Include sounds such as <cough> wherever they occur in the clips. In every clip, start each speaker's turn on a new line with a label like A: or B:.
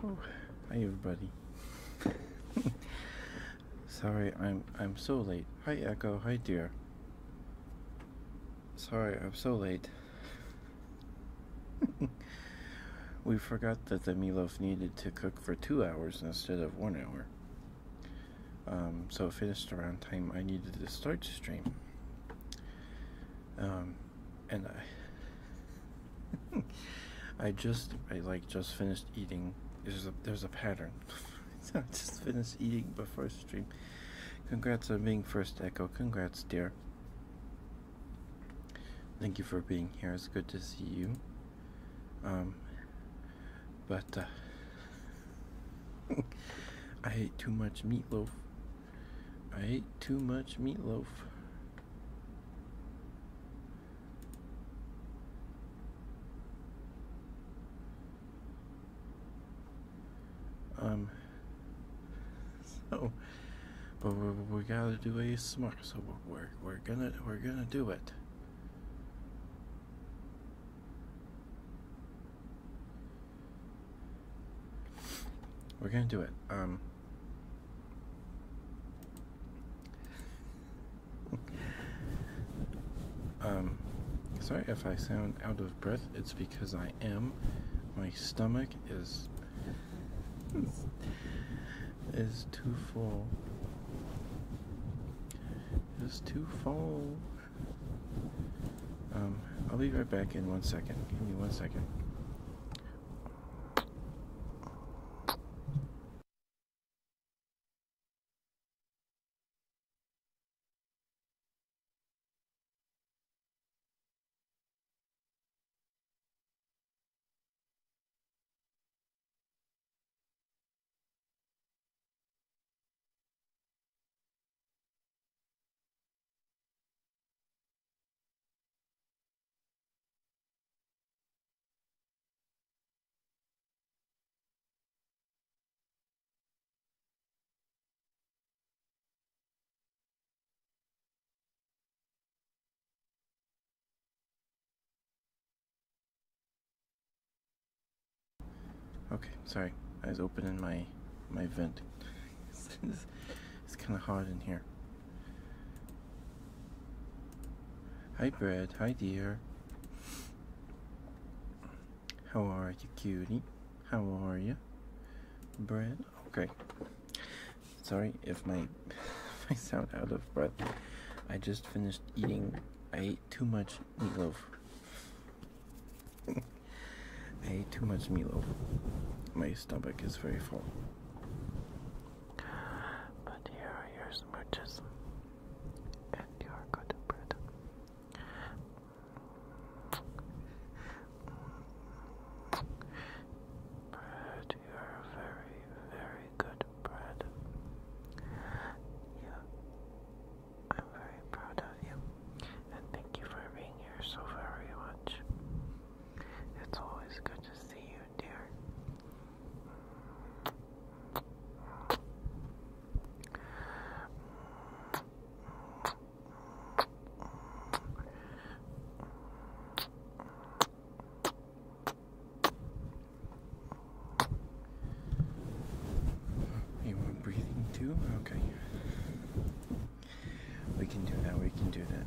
A: hi
B: everybody. <laughs> Sorry, I'm I'm so late. Hi Echo, hi dear. Sorry, I'm so late. <laughs> we forgot that the meatloaf needed to cook for two hours instead of one hour. Um, so finished around time I needed to start stream. Um, and I, <laughs> I just, I like just finished eating. There's a there's a pattern. <laughs> I just finished eating before stream. Congrats on being first echo. Congrats, dear. Thank you for being here. It's good to see you. Um, but uh, <laughs> I hate too much meatloaf I ate too much meatloaf. Um, so, but we, gotta do a ASMR, so we're, we're gonna, we're gonna do it. We're gonna do it. Um, um, sorry if I sound out of breath. It's because I am. My stomach is is too full. It's too full. Um, I'll be right back in one
C: second. Give me one second. Okay, sorry. I was opening
B: my my vent. <laughs> it's, kind of hot in here. Hi, Brad. Hi, dear. How are you, cutie? How are you, Brad? Okay. Sorry if my if <laughs> sound out of breath. I just finished eating. I ate too much meatloaf. I ate too much Milo. My stomach is very full.
C: But here are your smooches. And your good bread. Bread, you're very, very good bread. Yeah. I'm very proud of you and thank you for being here so very much. It's always good to see
B: you, dear. You were breathing too? Okay. We can do that, we can do that.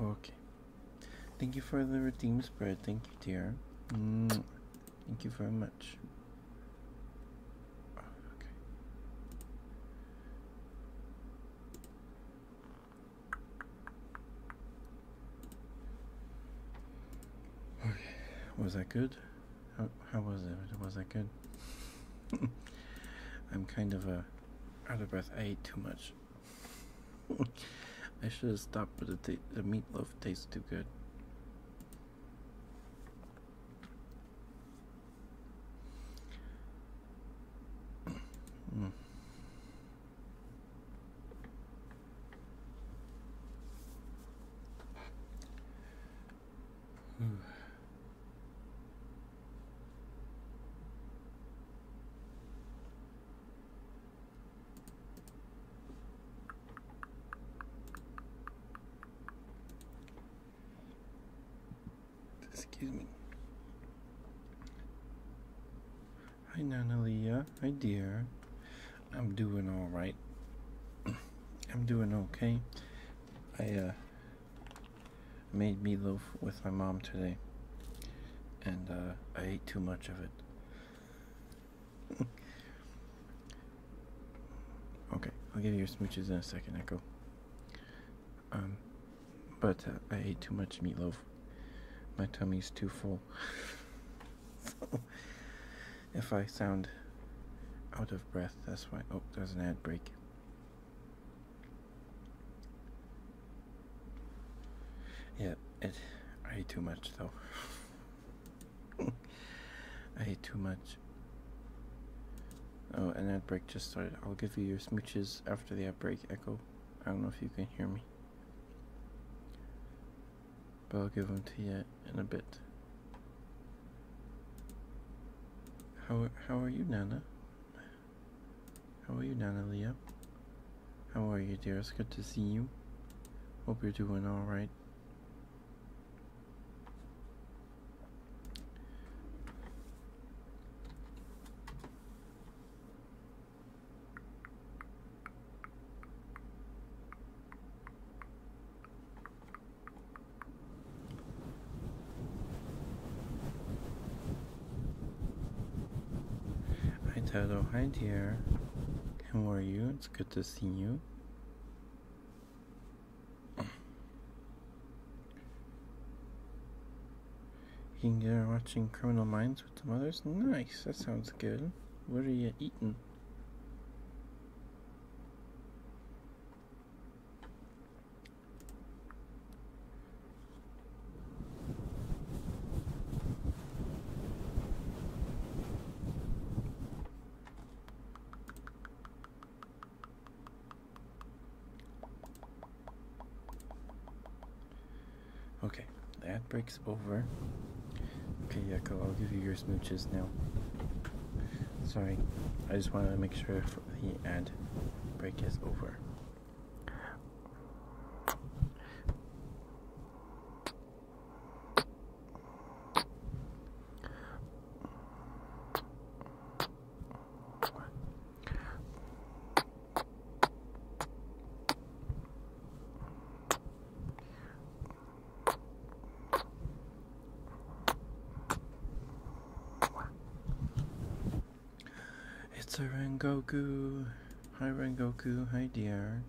B: Okay. Thank you for the team spirit. Thank you, dear. -hmm. Thank you very much. Okay. Was that good? How, how was it? Was that good? <laughs> I'm kind of uh, out of breath. I ate too much. <laughs> I should have stopped, but the, t the meatloaf tastes too good.
D: <sighs>
B: Excuse me. Hi, Nana Leah. Hi, dear. I'm doing all right. <clears throat> I'm doing okay. I uh, I made meatloaf with my mom today, and uh, I ate too much of it. <laughs> okay, I'll give you your smooches in a second, Echo. Um, but uh, I ate too much meatloaf. My tummy's too full. so, <laughs> if I sound out of breath, that's why. Oh, there's an ad break. Yeah, it. I eat too much though. <laughs> I eat too much. Oh, an ad break just started. I'll give you your smooches after the ad break, Echo. I don't know if you can hear me. But I'll give them to you in a bit. How how are you, Nana? How are you, Nana Leah? How are you, dear? good to see you. Hope you're doing all right. Hi Toto, hi dear. How are you? It's good to see you. You can get watching Criminal Minds with the mothers? Nice, that sounds good. What are you eating? Okay, that breaks over. Okay, Yeko, I'll give you your smooches now. Sorry, I just wanted to make sure carefully and break is over. It's a Rengoku. Hi Rengoku. Hi dear.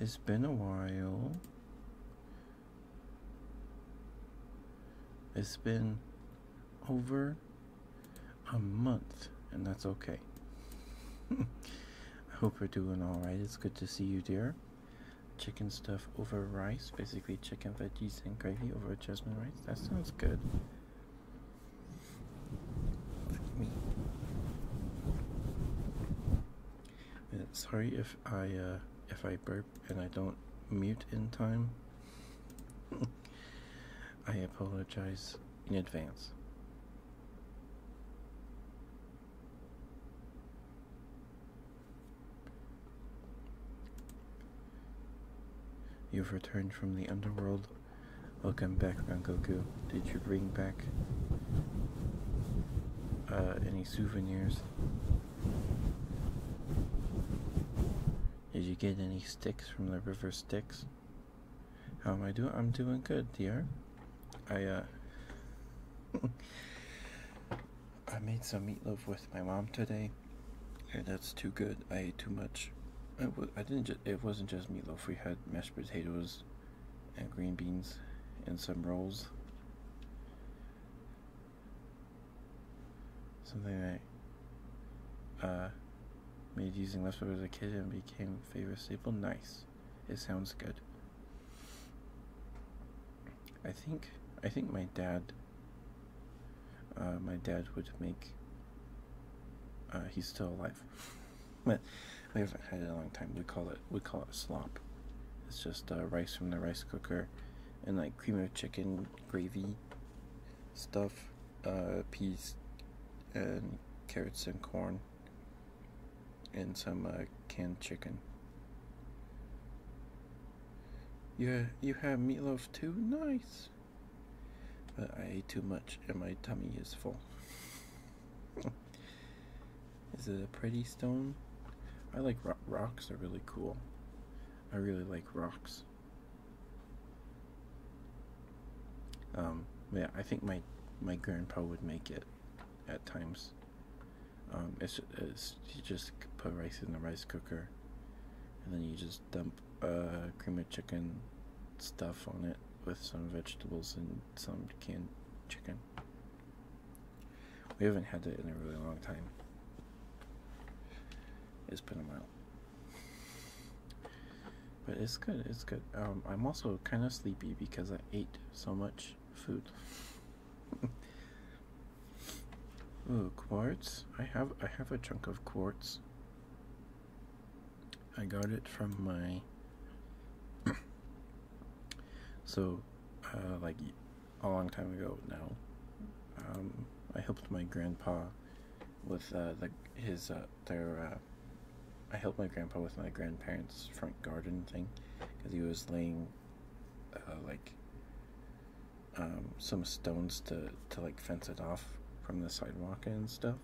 B: It's been a while. It's been over a month, and that's okay. <laughs> I hope you're doing alright. It's good to see you, dear. Chicken stuff over rice, basically chicken, veggies, and gravy over jasmine rice that sounds good. Uh, sorry if I uh, if I burp and I don't mute in time. <laughs> I apologize in advance. You've returned from the underworld. Welcome back, Son Goku. Did you bring back uh, any souvenirs? Did you get any sticks from the river sticks? How am I doing? I'm doing good, dear. I uh, <laughs> I made some meatloaf with my mom today that's too good i ate too much I w I didn't just. it wasn't just meatloaf we had mashed potatoes and green beans and some rolls something i uh made using leftovers as a kid and became favorite staple nice it sounds good i think i think my dad uh, my dad would make. Uh, he's still alive, <laughs> but we haven't had it a long time. We call it we call it slop. It's just uh, rice from the rice cooker, and like cream of chicken gravy stuff, uh, peas, and carrots and corn, and some uh, canned chicken. Yeah, you have meatloaf too? Nice. But I ate too much and my tummy is full. is it a pretty stone? I like ro rocks, are really cool. I really like rocks. Um, yeah, I think my my grandpa would make it at times. Um, it's, it's you just put rice in the rice cooker, and then you just dump uh, cream of chicken stuff on it with some vegetables and some canned chicken. We haven't had it in a really long time. It's been a while. But it's good, it's good. Um, I'm also kind of sleepy because I ate so much food. <laughs> Oh, quartz. I have I have a chunk of quartz. I got it from my <coughs> so uh, like a long time ago now. Um, I helped my grandpa with uh, the, his uh, their. Uh, I helped my grandpa with my grandparents' front garden thing because he was laying, uh, like, um, some stones to to like fence it off from the sidewalk and stuff.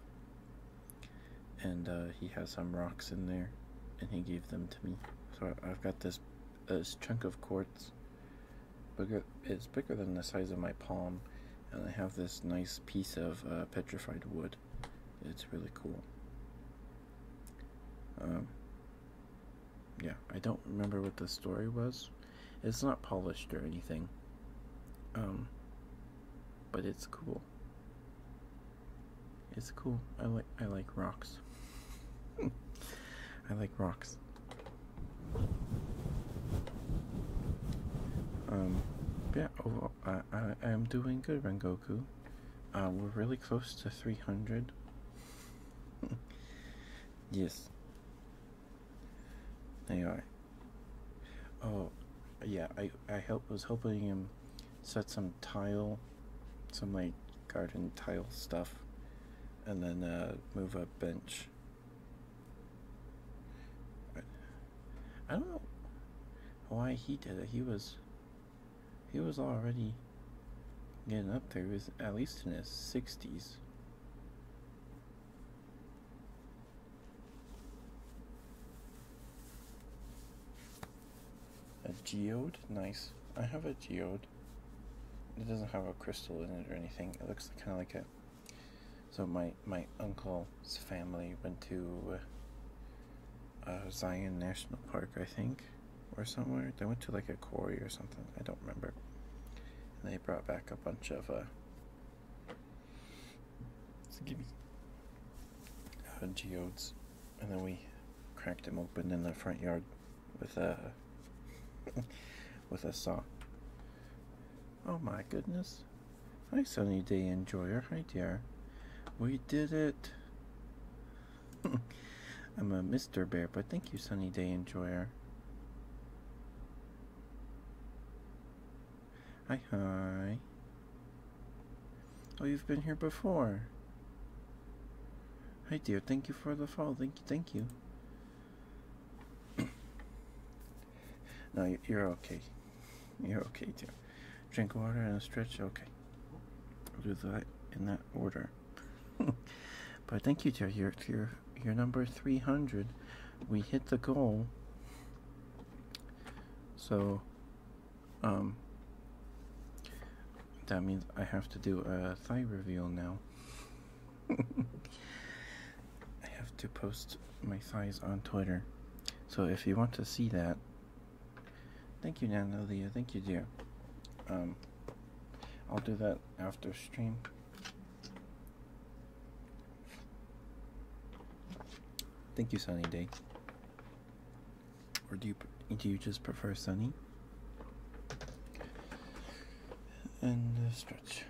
B: And uh, he has some rocks in there, and he gave them to me. So I've got this this chunk of quartz. Bigger, it's bigger than the size of my palm, and I have this nice piece of uh, petrified wood. It's really cool. Um, yeah, I don't remember what the story was, it's not polished or anything, um, but it's cool. It's cool. I like I like rocks. <laughs> I like rocks. Um, yeah, overall, oh, I, I, I'm doing good, Rengoku. Uh, we're really close to 300. <laughs> yes. Anyway. Oh, yeah, I, I help, was helping him set some tile, some like garden tile stuff, and then uh, move a bench. I don't know why he did it. He was, he was already getting up there. He was at least in his 60s. A geode? Nice. I have a geode. It doesn't have a crystal in it or anything. It looks kind of like a... So my, my uncle's family went to uh, Zion National Park, I think, or somewhere. They went to like a quarry or something. I don't remember. they brought back a bunch of uh, so give me uh, geodes, and then we cracked them open in the front yard with a <laughs> with a saw. Oh my goodness! Nice sunny day enjoyer. Hi, dear. We did it. <laughs> I'm a Mr. Bear, but thank you, sunny day enjoyer. Hi, hi. Oh, you've been here before. Hi, dear. Thank you for the fall. Thank you, thank you. <coughs> no, you're okay. You're okay, dear. Drink water and stretch. Okay. do that in that order. <laughs> but thank you, dear. You're, your number 300. We hit the goal. So, um, that means I have to do a thigh reveal now. <laughs> I have to post my thighs on Twitter. So if you want to see that, thank you, Nanalia. Thank you, dear. Um, I'll do that after stream. Thank you, Sunny Day. Or do you do you just prefer sunny? And stretch.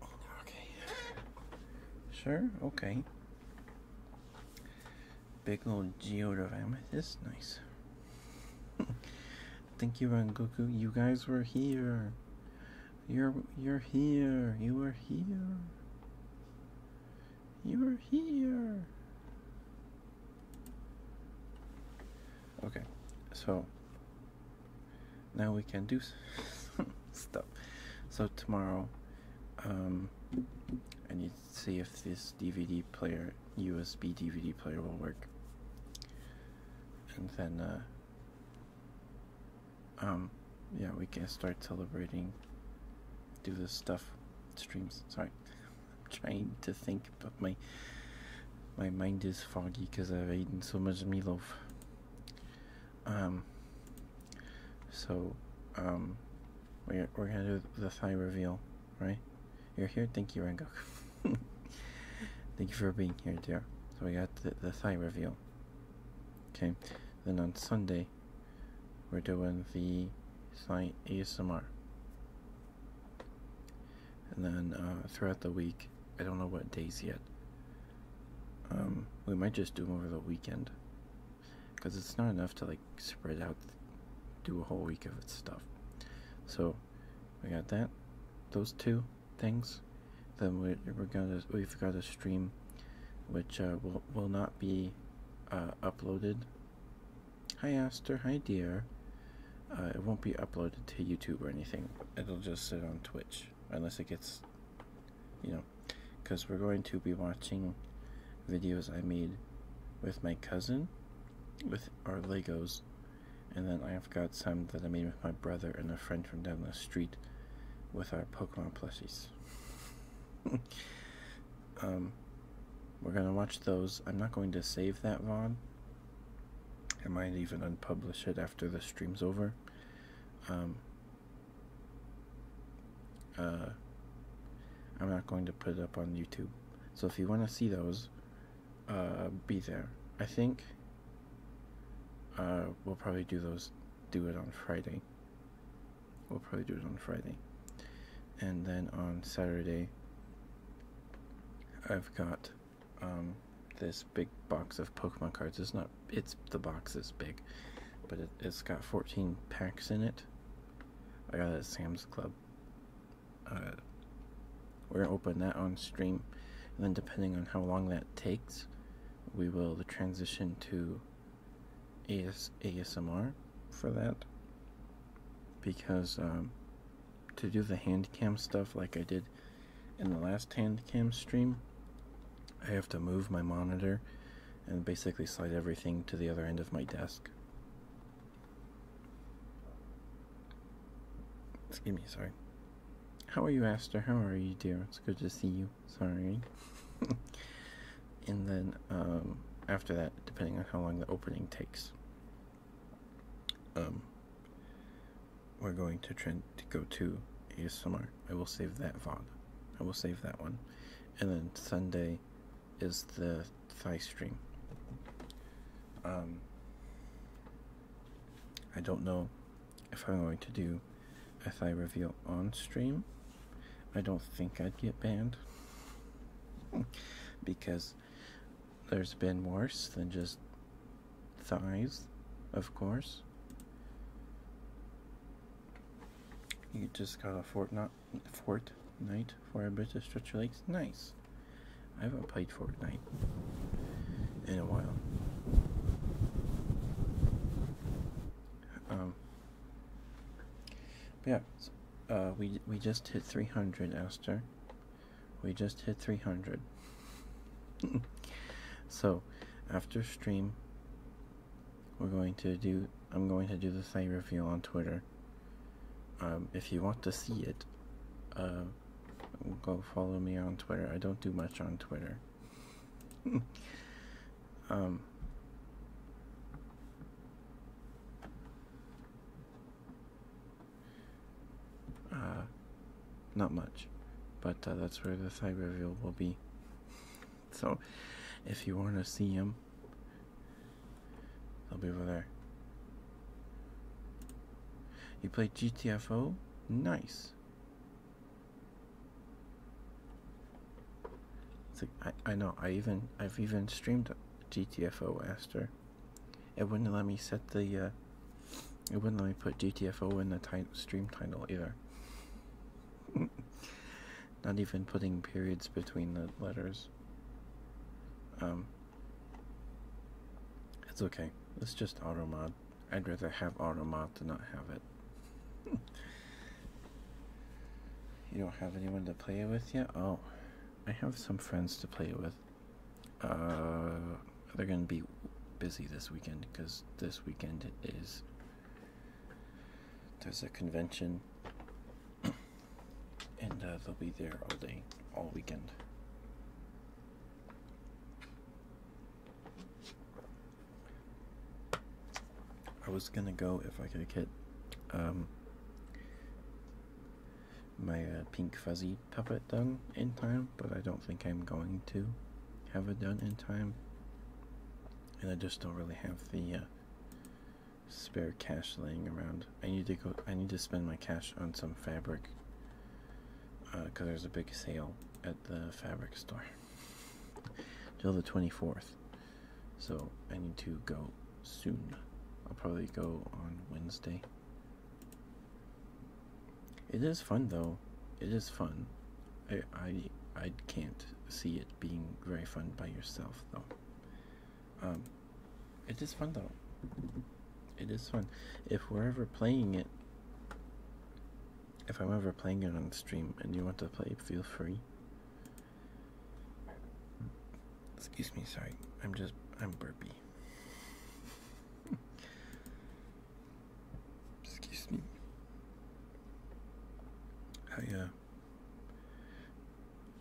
B: Okay. Sure. Okay big old Geodoramus. nice. <laughs> Thank you, Goku. You guys were here. You're you're here. You were here. You were
C: here.
B: Okay, so now we can do <laughs> stuff. So tomorrow, um, I need see if this DVD player, USB DVD player, will work. And then, uh, um, yeah, we can start celebrating, do this stuff, streams. Sorry, I'm trying to think, but my my mind is foggy because I've eaten so much meatloaf. Um, so, um, we're, we're gonna do the thigh reveal, right? You're here, thank you, Rengoku. <laughs> thank you for being here, dear. So we got the, the thigh reveal. Okay, then on Sunday, we're doing the thigh ASMR. And then uh, throughout the week, I don't know what days yet. Um, we might just do them over the weekend because it's not enough to like spread out, do a whole week of its stuff. So we got that, those two things. Then we, we're gonna we've got a stream, which uh, will will not be uh, uploaded. Hi Aster, hi dear. Uh, it won't be uploaded to YouTube or anything. It'll just sit on Twitch unless it gets, you know, because we're going to be watching videos I made with my cousin with our Legos. And then I've got some that I made with my brother and a friend from down the street with our Pokemon plushies. <laughs> um, we're going to watch those. I'm not going to save that VOD. I might even unpublish it after the stream's over. Um, uh, I'm not going to put it up on YouTube. So if you want to see those, uh, be there. I think uh, we'll probably do those, do it on Friday. We'll probably do it on Friday. And then on Saturday, I've got um, this big box of Pokemon cards. It's not, it's, the box is big, but it, it's got 14 packs in it. I got a Sam's Club. Uh, we're gonna open that on stream, and then depending on how long that takes, we will transition to AS ASMR for that. Because um, to do the hand cam stuff like I did in the last hand cam stream, I have to move my monitor and basically slide everything to the other end of my desk. Excuse me, sorry. How are you, Aster? How are you, dear? It's good to see you. Sorry. <laughs> and then um, after that, depending on how long the opening takes, um, we're going to trend to go to ASMR. I will save that vlog. I will save that one. And then Sunday, is the thigh stream? Um, I don't know if I'm going to do a thigh reveal on stream. I don't think I'd get banned <laughs> because there's been worse than just thighs, of course. You just got a Fortnite fort Fortnite for a bit of stretch your legs. Nice. I haven't played Fortnite in a while. Um, yeah, uh, we we just hit 300, Esther. We just hit 300. <laughs> so, after stream, we're going to do I'm going to do the site review on Twitter. Um, if you want to see it, uh, go follow me on Twitter. I don't do much on Twitter. <laughs> Um, uh, not much, but uh, that's where the site review will be so if you want to see him, he will be over there you play gtfo nice like, I, I know I even I've even streamed GTFO after it wouldn't let me set the uh, it wouldn't let me put GTFO in the time stream title either <laughs> Not even putting periods between the letters. Um, it's okay. It's just automod. I'd rather have automod than not have it. <laughs> you don't have anyone to play with yet? Oh, I have some friends to play with. Uh, they're gonna be busy this weekend because this weekend is there's a convention and uh, they'll be there all day, all weekend. I was gonna go if I could get um, my uh, pink fuzzy puppet done in time, but I don't think I'm going to have it done in time. And I just don't really have the uh, spare cash laying around. I need to go. I need to spend my cash on some fabric. Because uh, there's a big sale at the fabric store <laughs> till the 24th. So I need to go soon. I'll probably go on Wednesday. It is fun though. It is fun. I I I can't see it being very fun by yourself though. Um, it is fun though. It is fun. If we're ever playing it, if I'm ever playing it on the stream and you want to play, feel free. Excuse me, sorry. I'm just, I'm burpy. <laughs> Excuse me. I, uh,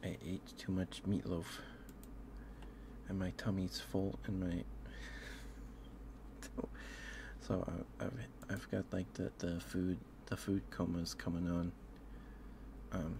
B: I ate too much meatloaf, and my tummy's full, and my <laughs> so I, have I've got like the the food the food coma's coming on. Um.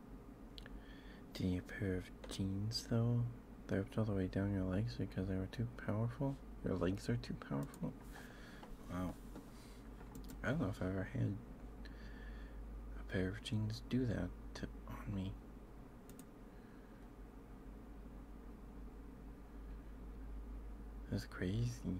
B: Did you need a pair of jeans though? They're all the way down your legs because they were too powerful? Your legs are too powerful? Wow. I don't know if I've ever had a pair of jeans do that to, on me. That's crazy.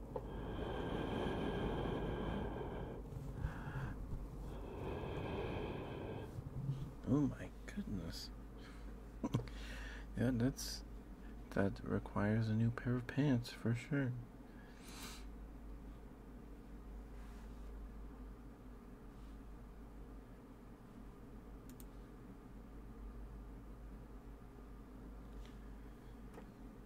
B: Oh my goodness. <laughs> yeah, that's that requires a new pair of pants for sure.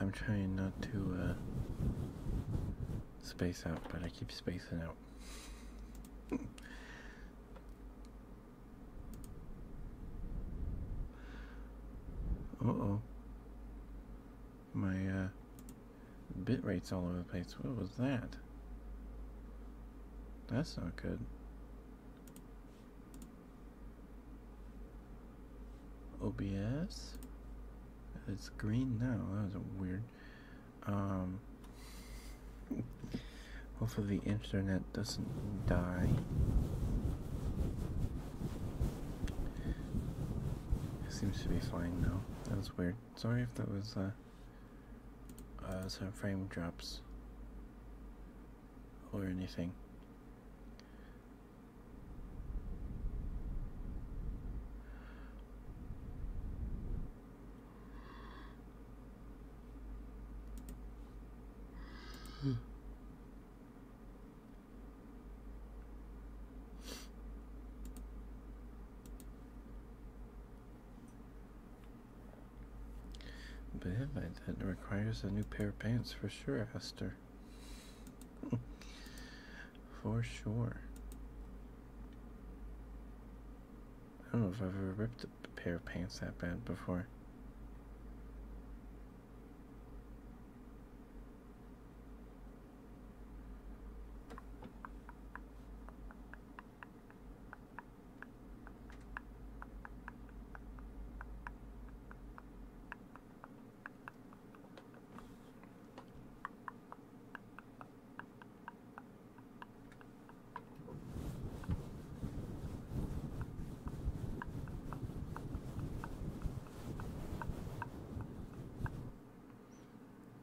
B: I'm trying not to uh, space out, but I keep spacing out. <laughs> uh oh. My uh, bit rate's all over the place. What was that? That's not good. OBS. It's green now. That was weird. Um, hopefully the internet doesn't die. It seems to be fine now. That was weird. Sorry if that was uh, uh, some frame drops or anything. Hmm. But that requires a new pair of pants for sure, Esther. For sure. I don't know if I've ever ripped a pair of pants that bad before.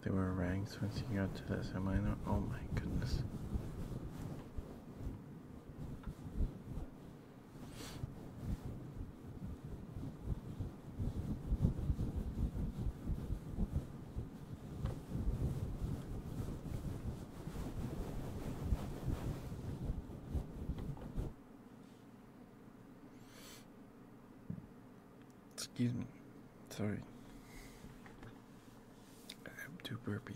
B: There were ranks once you got to this, am I not? Oh my goodness. Excuse me. Sorry. I'm too burpy.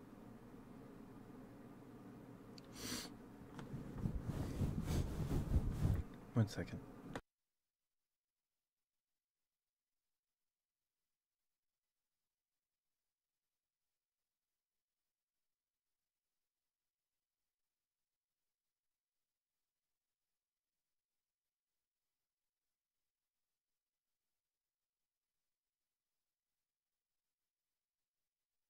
C: One second.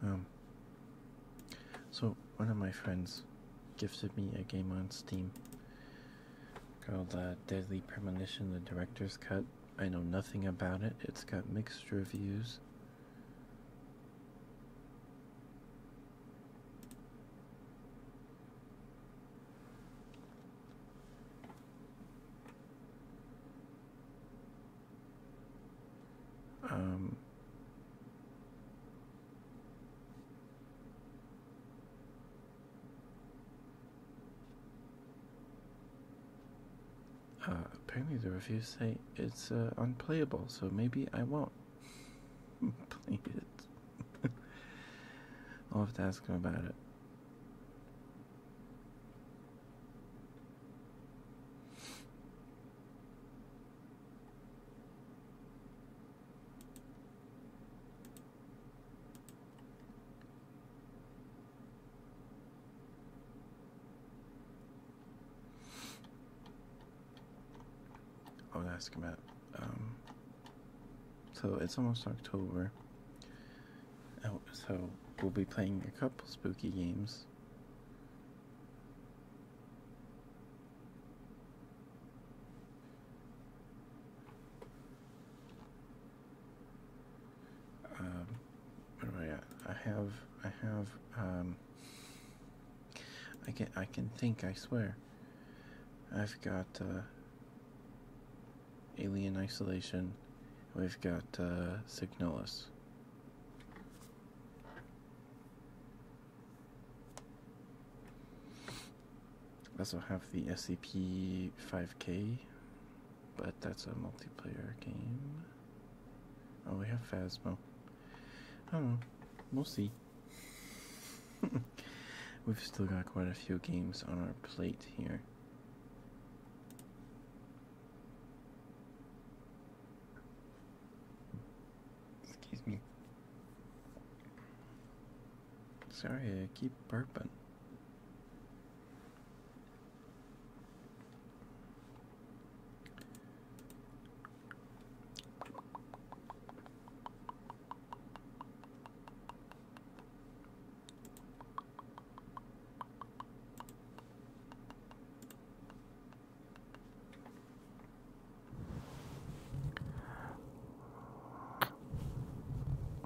B: Um, so one of my friends gifted me a game on Steam called Deadly Premonition, the director's cut. I know nothing about it. It's got mixed reviews. Um, uh, apparently, the reviews say uh, it's unplayable, so maybe I won't <laughs> play it. <laughs> I'll have to ask him about it. I was asking about, um, so it's almost October. Oh, so we'll be playing a couple spooky games. Um, where am I at? I have, I have, um, I can, I can think. I swear. I've got uh, Alien Isolation. We've got uh, Signalis also have the SCP 5K, but that's a multiplayer game. Oh, we have Phasmo. Oh, We'll see. <laughs> We've still got quite a few games on our plate here. Excuse me. Sorry, I keep burping.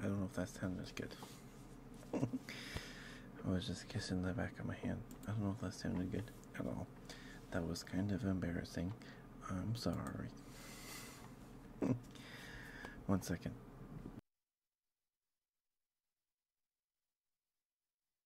B: I don't know if that sounded good. <laughs> I was just kissing the back of my hand. I don't know if that sounded good at all. That was kind of embarrassing. I'm
C: sorry. <laughs> One second.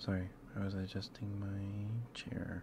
B: Sorry, I was adjusting my chair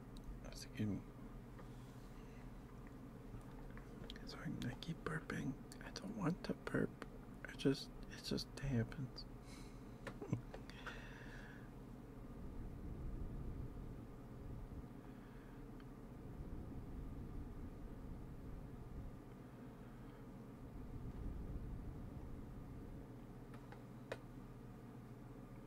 B: That's a good one. So I, I keep burping. I don't want to burp. I just it just happens.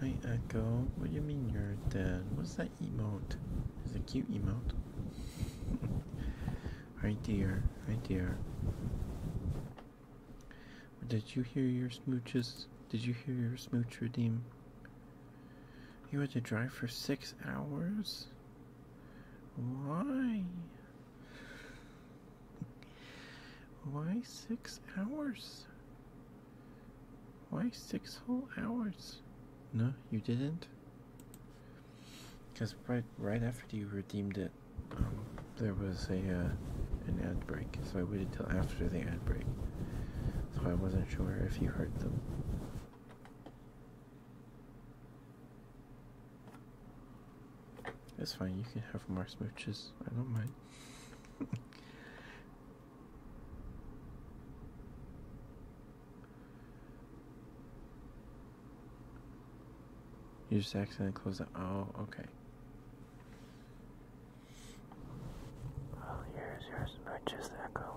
B: Hi Echo, what do you mean you're dead? What's that emote? Is a cute emote. <laughs> Hi dear, Hi dear. Did you hear your smooches? Did you hear your smooch redeem? You had to drive for six hours?
C: Why? Why six hours? Why six whole
B: hours? No, you didn't? Because right, right after you redeemed it, um, there was a uh, an ad break, so I waited till after the ad break. So I wasn't sure if you heard them. It's fine, you can have more smooches. I don't mind you just accidentally closed it. Oh, okay.
C: Well, yours, yours, not just echo.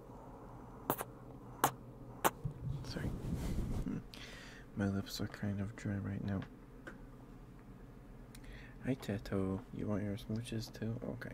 B: Sorry. Hmm. My lips are kind of dry right now. Hi, Tato. You want your smooches too? Okay.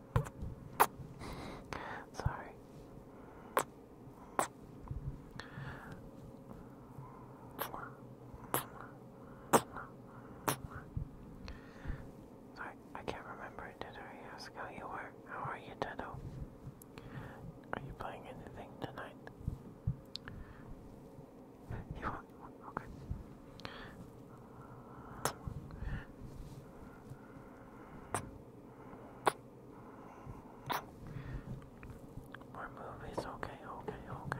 B: Sorry. Sorry, I can't remember. Did I ask how you were? How are you, Dedo? Are you playing anything tonight? You want? Okay. More movies, okay, okay, okay.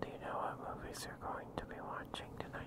B: Do you know what movies you're going to be watching tonight?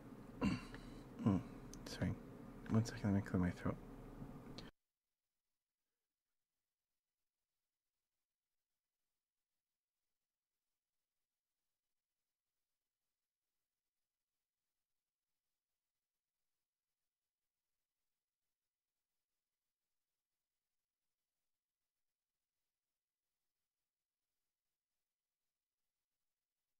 B: Mm, mm, sorry. One second, let me clear my throat.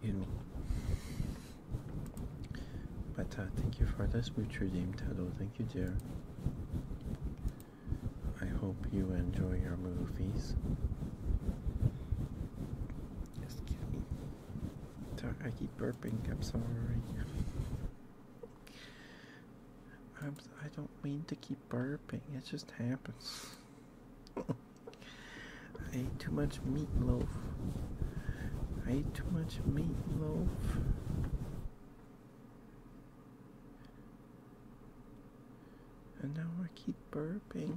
B: You know. But uh, thank you for this mutual name, Tado. Thank you, dear. I hope you enjoy your movies. Excuse me. I keep burping. I'm sorry. I'm, I don't mean to keep burping. It just happens. I ate too much meatloaf. I ate too much meatloaf. And now I keep burping.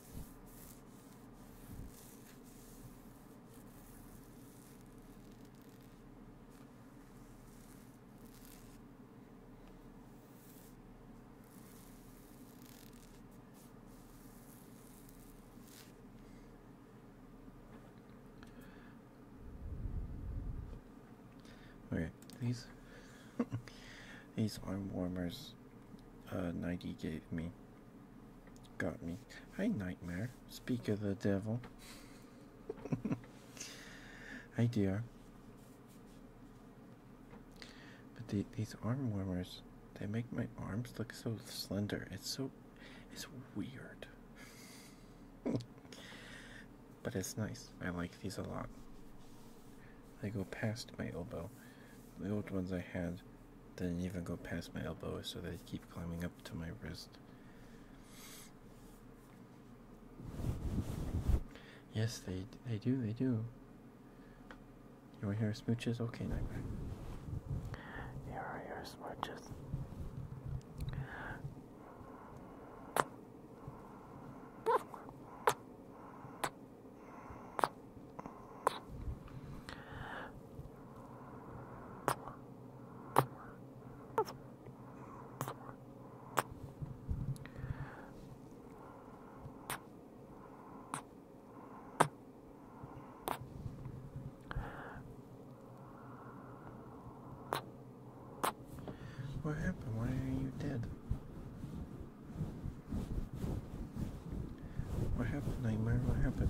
B: Okay, these <laughs> These arm warmers uh, Nike gave me. Got me. Hi, Nightmare. Speak of the devil. <laughs> Hi, dear. But the, these arm warmers, they make my arms look so slender. It's so, it's weird. <laughs> but it's nice. I like these a lot. They go past my elbow the old ones I had didn't even go past my elbow, so they keep climbing up to my wrist. Yes, they they do, they do. You want to hear smooches? Okay, Nightmare.
C: You want to smooches?
B: What happened? Why are you dead? What happened, Nightmare? What happened?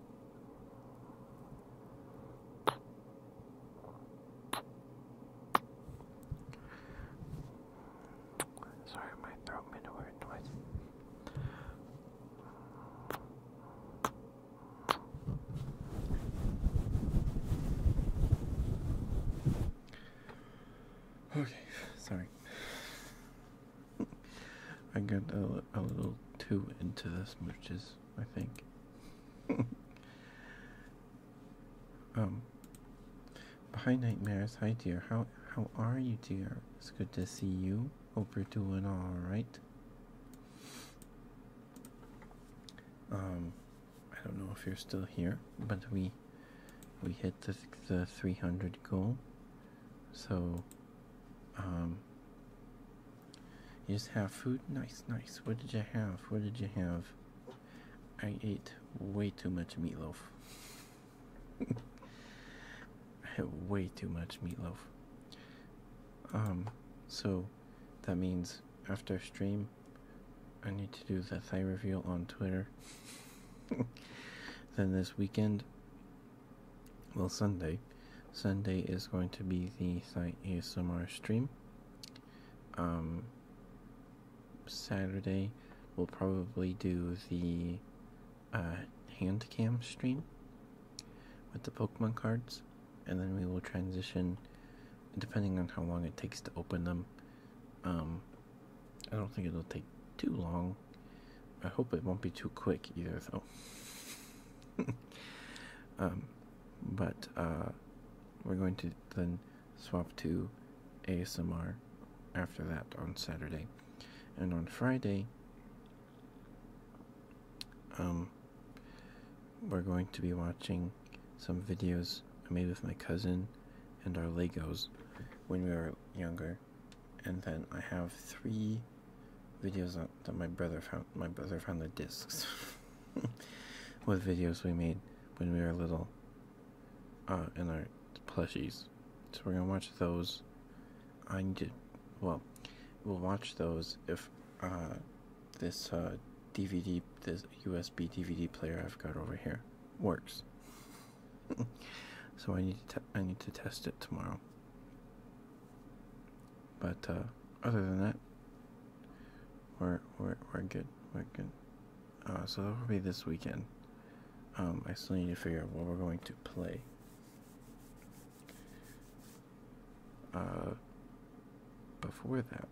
B: Sorry, my throat made a weird noise. Okay, sorry. <laughs> I got a, little too into this, which is I think. <laughs> um. Hi, nightmares. Hi, dear. How how are you, dear? It's good to see you. Hope you're doing all right. Um, I don't know if you're still here, but we we hit the the 300 goal. So, um, you just have food? Nice, nice. What did you have? What did you have? I ate way too much meatloaf. <laughs> I had way too much meatloaf. Um, so that means after stream, I need to do the thigh reveal on Twitter. <laughs> then this weekend, well, Sunday. Sunday is going to be the Sight ASMR stream. Um, Saturday, we'll probably do the uh, hand cam stream with the Pokemon cards, and then we will transition, depending on how long it takes to open them. Um, I don't think it'll take too long. I hope it won't be too quick either, though. <laughs> Um, but uh, we're going to then swap to ASMR after that on Saturday. And on Friday, um, we're going to be watching some videos I made with my cousin and our Legos when we were younger. And then I have three videos that my brother found my brother found the discs <laughs> with videos we made when we were little uh, in our plushies. So we're gonna watch those. I need to well we'll watch those if uh, this DVD uh, this USB DVD player I've got over here works. <laughs> so I need to I need to test it tomorrow. But uh, other than that, we're we're we're good. We're good. Uh, so that'll be this weekend. Um, I still need to figure out what we're going to play. Uh, before that,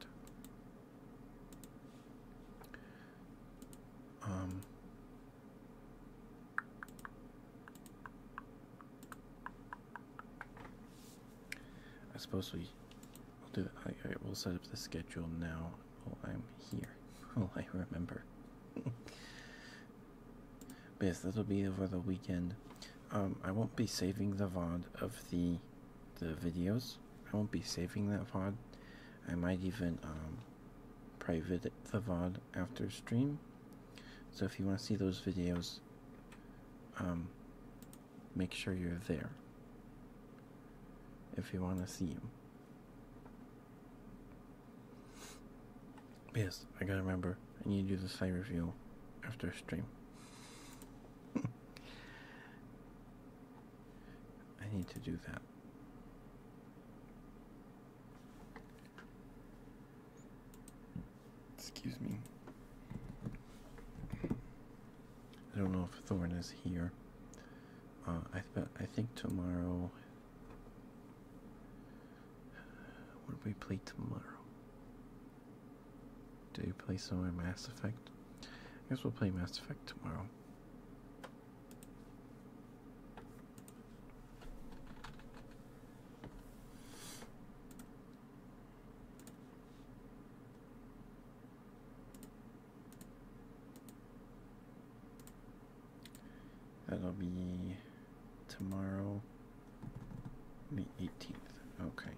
B: um, I suppose we will do. I, we will set up the schedule now while I'm here. <laughs> While I remember. but yes, that'll be over the weekend. Um, I won't be saving the VOD of the the videos. I won't be saving that VOD. I might even um, private the VOD after stream. So if you want to see those videos, um, make sure you're there if you want to see him. Yes, I gotta remember. I need to do the site reveal after a stream. <laughs> I need to do that. Excuse me. I don't know if Thorn is here. Uh, I th I think tomorrow. What do we play tomorrow? Do you play some Mass Effect? I guess we'll play Mass Effect tomorrow. That'll be tomorrow, the 18th. Okay.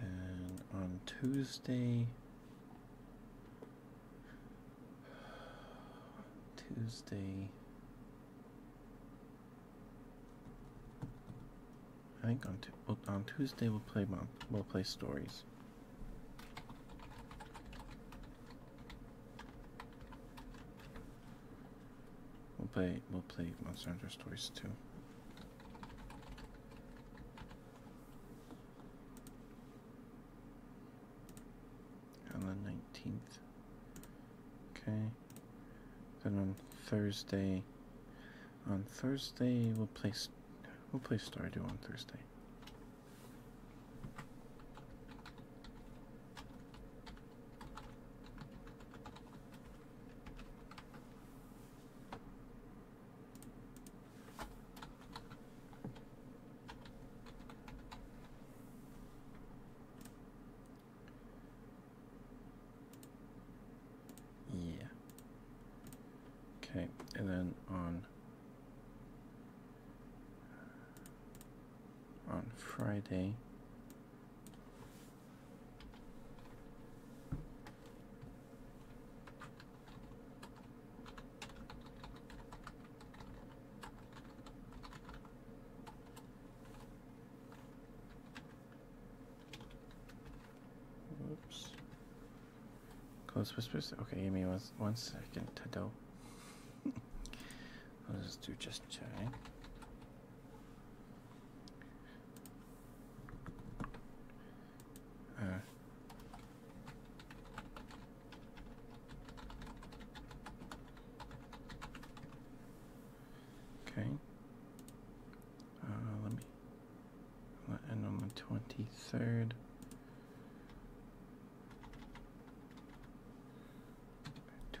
B: Then on Tuesday, Tuesday, I think on Tuesday we'll play we'll play stories. We'll play we'll play Monster Stories too. On the nineteenth. Okay. Then on Thursday on Thursday we'll play we'll play Stardew on Thursday. Yeah. Okay, and then on on Friday Oops. Close whispers. Okay, give me one, one second, Tado. <laughs> I'll just do just checking. Uh, okay. Uh, let me end on the twenty third. Two.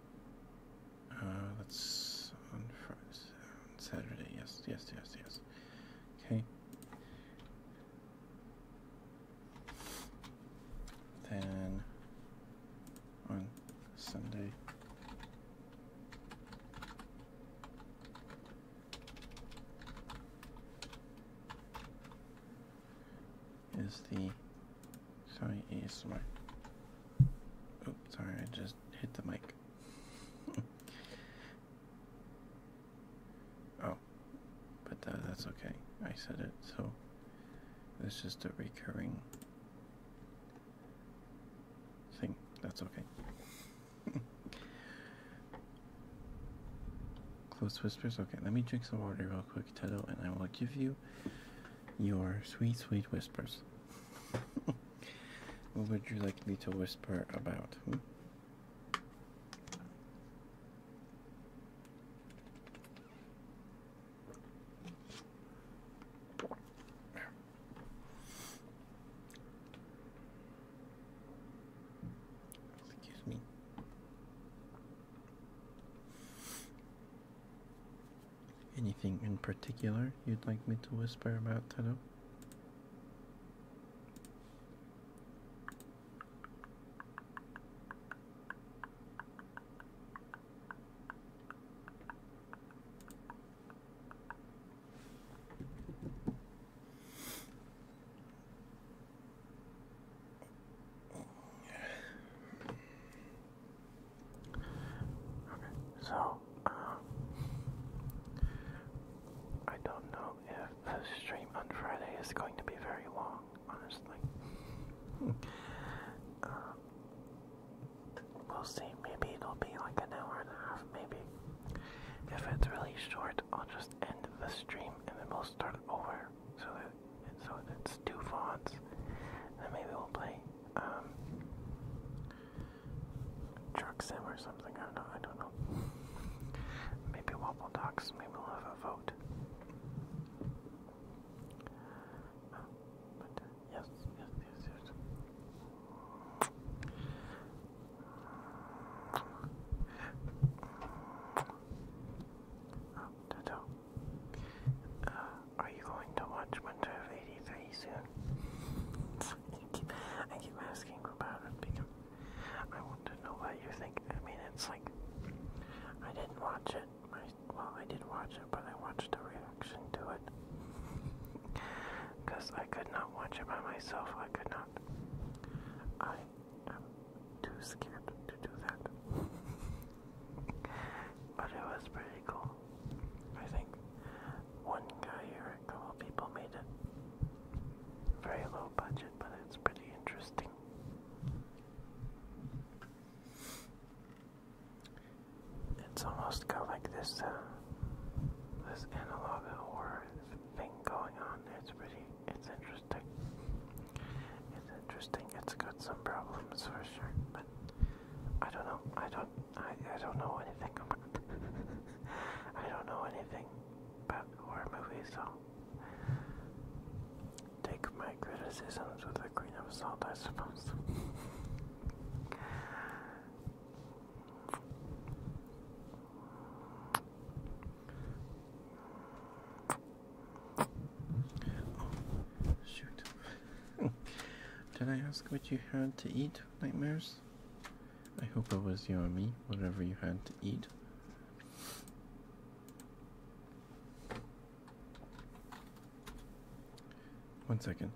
B: Uh, that's on Friday, Saturday. Yes, yes, yes, yes. Okay. Then on Sunday. Is the sorry is ASMR Oops, oh, sorry, I just hit the mic. <laughs> oh, but that, that's okay. I said it, so it's just a recurring thing. That's okay. <laughs> Close whispers. Okay, let me drink some water real quick, Tedo, and I will give you your sweet, sweet whispers. <laughs> what would you like me to whisper about? Hmm? Excuse me. Anything in particular you'd like me to whisper about today?
C: so uh, I don't know if the stream on Friday is going to be very long, honestly. <laughs> Uh, we'll see. Maybe it'll be like an hour and a half, maybe. If it's really short, I'll just end the stream and then we'll start over. So so that it's two fonts. Then maybe we'll play um, truck or something. I don't know. I don't know. <laughs> Maybe Wobble docks. Maybe we'll have a vote. Oh, uh, yes, yes, yes, yes. Oh, uh, are you going to watch Winter of 83 soon? <laughs> I, keep, asking about it because I want to know what you think. I mean, it's like, I didn't watch it. well, I did watch it, but I watched a reaction to it. Because I could not watch it by myself. I could not. I am too scared to do that but it was pretty cool. I think one guy or a couple people made it. Very low budget, but it's pretty interesting. It's almost got like this, uh,
D: this analog horror thing going on. It's pretty, it's interesting. It's interesting. It's got some
C: problems for sure, but I don't know. I don't. I, I don't know anything about. <laughs> I don't know anything about horror movies, so take my criticisms with a grain of salt, I suppose. <laughs>
B: Oh, shoot. <laughs> Did I ask what you had to eat, Nightmares? I hope it was you and me, whatever you had to eat.
C: One second.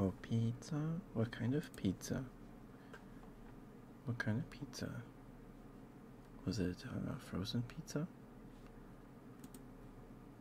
C: Oh, pizza?
B: What kind of pizza? What kind of pizza? Was it a uh, frozen pizza?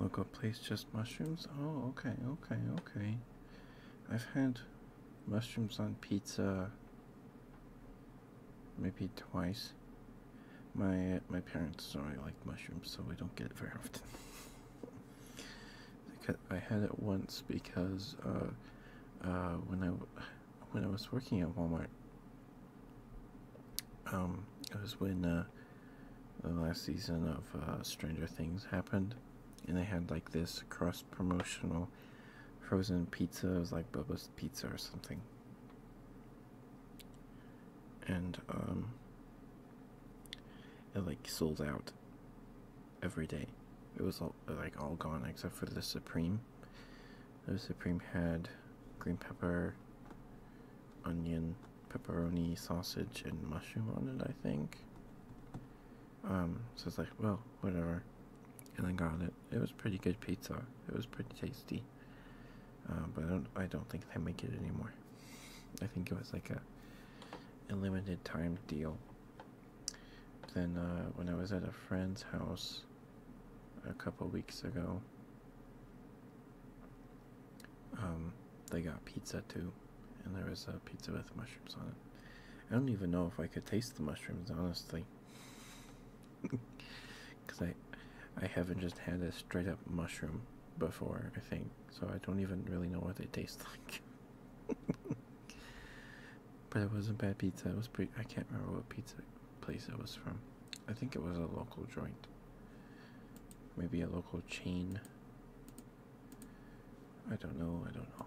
B: Local place just mushrooms? Oh, okay, okay, okay. I've had mushrooms on pizza maybe twice. My uh, my parents don't really like mushrooms, so we don't get it very often. <laughs> I had it once because uh, uh, when I was working at Walmart, um, it was when uh, the last season of Stranger Things happened, and they had like this cross promotional frozen pizza. It was like Bobo's Pizza or something, and um, it like sold out every day. It was all, like all gone except for the Supreme. The Supreme had green pepper, onion, pepperoni, sausage, and mushroom on it, I think. Um, so it's like, well, whatever. And I got it. It was pretty good pizza. It was pretty tasty. Uh, but I don't, I don't think they make it anymore. I think it was like a limited time deal. Then uh, when I was at a friend's house a couple weeks ago, um, they got pizza too, and there was a pizza with mushrooms on it. I don't even know if I could taste the mushrooms, honestly, because <laughs> I, I haven't just had a straight up mushroom before, I think, so I don't even really know what they taste <laughs> like. but it wasn't bad pizza. It was pretty. I can't remember what pizza place it was from. I think it was a local joint, maybe a local chain. I don't know. I don't know.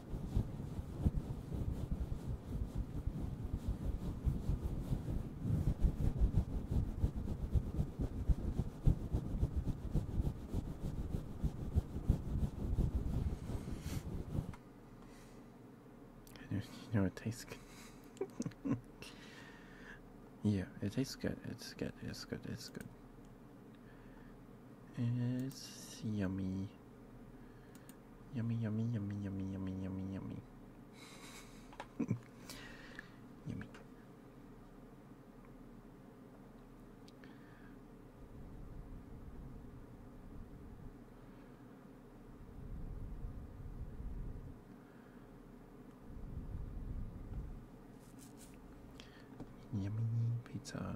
B: You know it tastes good. <laughs> yeah, it tastes good. It's good. It's good. It's good. It's yummy. Yummy, yummy, yummy, yummy, yummy, yummy, yummy. <laughs> yummy. Yummy pizza.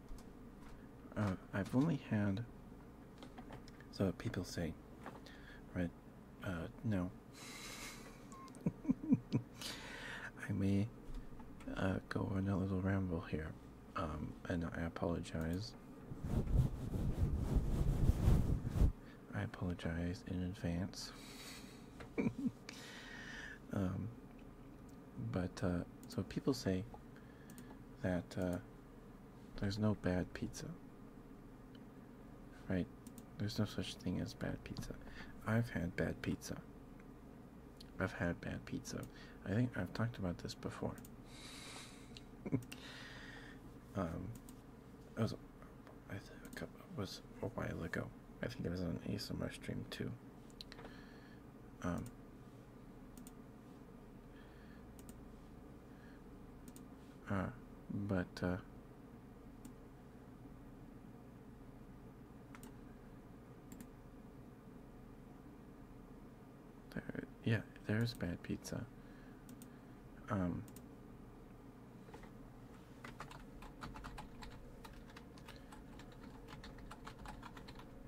B: Uh, I've only had. So people say, right? Uh, no. <laughs> I may uh, go on a little ramble here, um, and I apologize. I apologize in advance. <laughs> Um, but so people say that there's no bad pizza. Right? There's no such thing as bad pizza. I've had bad pizza. I've had bad pizza. I think I've talked about this before. <laughs> um, it was, I think was a while ago. I think it was on an ASMR stream too. Um, uh, but, uh, there, yeah, there's bad pizza. Um,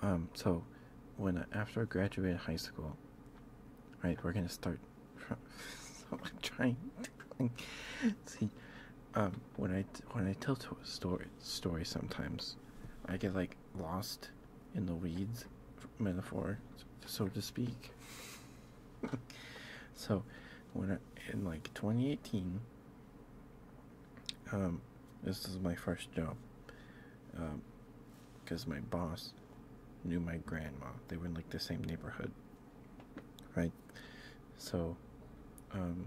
B: Um, so when after I graduated high school, right, we're gonna start. <laughs> so I'm trying. see, um, when I when I tell to a story story sometimes, I get like lost in the weeds, metaphor, so to speak. <laughs> so, when I, in like 2018, um, this is my first job because um, my boss knew my grandma. They were in like the same neighborhood, right? So, um,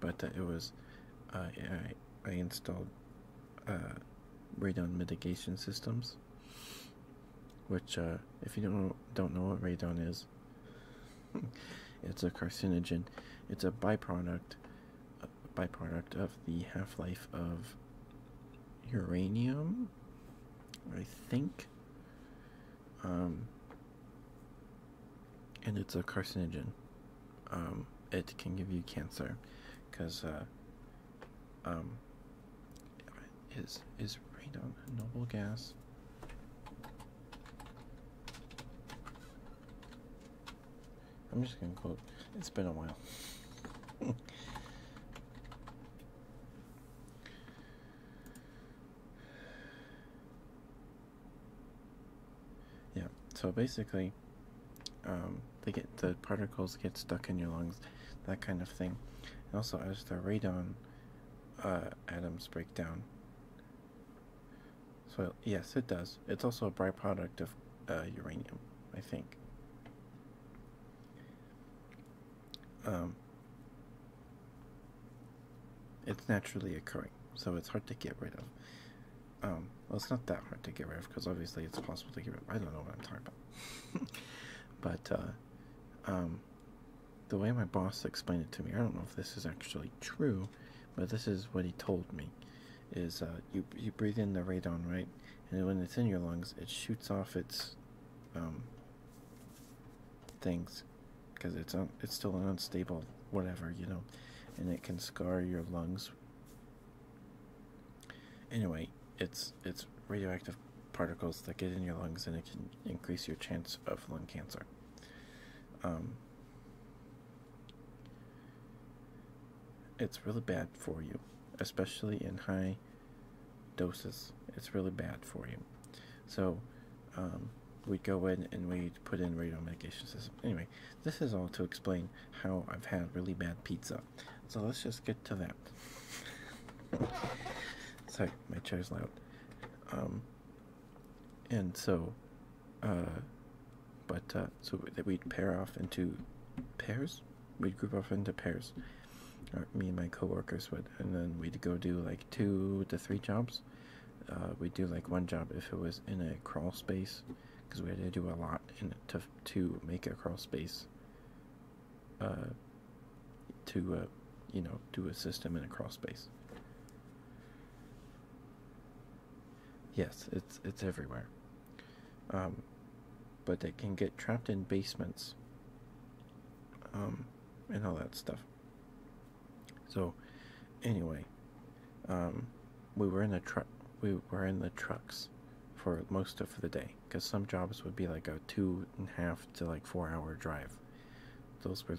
B: but it was uh, I I installed uh, radon mitigation systems, which uh, if you don't don't know what radon is, <laughs> it's a carcinogen. It's a byproduct byproduct of the half-life of uranium, I think. Um, and it's a carcinogen. Um, it can give you cancer, because uh, um, is is radon a noble gas? I'm just gonna quote. It's been a while. yeah. So basically, um, they get the particles get stuck in your lungs, that kind of thing, also as the radon uh, atoms break down. So yes, it does. It's also a byproduct of uh, uranium, I think. Um, it's naturally occurring, so it's hard to get rid of. Um, well, it's not that hard to get rid of because obviously it's possible to get rid of. I don't know what I'm talking about. <laughs> but uh, um, the way my boss explained it to me, I don't know if this is actually true, but this is what he told me is uh, you you breathe in the radon, right? And when it's in your lungs, it shoots off its um, things because it's it's still an unstable whatever you know, and it can scar your lungs. Anyway, it's it's radioactive particles that get in your lungs and it can increase your chance of lung cancer. Um, it's really bad for you, especially in high doses. It's really bad for you. So, um, we'd go in and we'd put in radio medication system. Anyway, this is all to explain how I've had really bad pizza. So let's just get to that. <laughs> Sorry, my chair's loud. Um, and so, uh, but uh, so that we'd pair off into pairs we'd group off into pairs uh, me and my coworkers would and then we'd go do like two to three jobs uh, we'd do like one job if it was in a crawl space because we had to do a lot to to make a crawl space uh, to you know do a system in a crawl space Yes, it's it's everywhere. Um, but it can get trapped in basements um, and all that stuff. So, anyway, um, we were in the truck. We were in the trucks for most of the day because some jobs would be like a two and a half to like four hour drive. Those were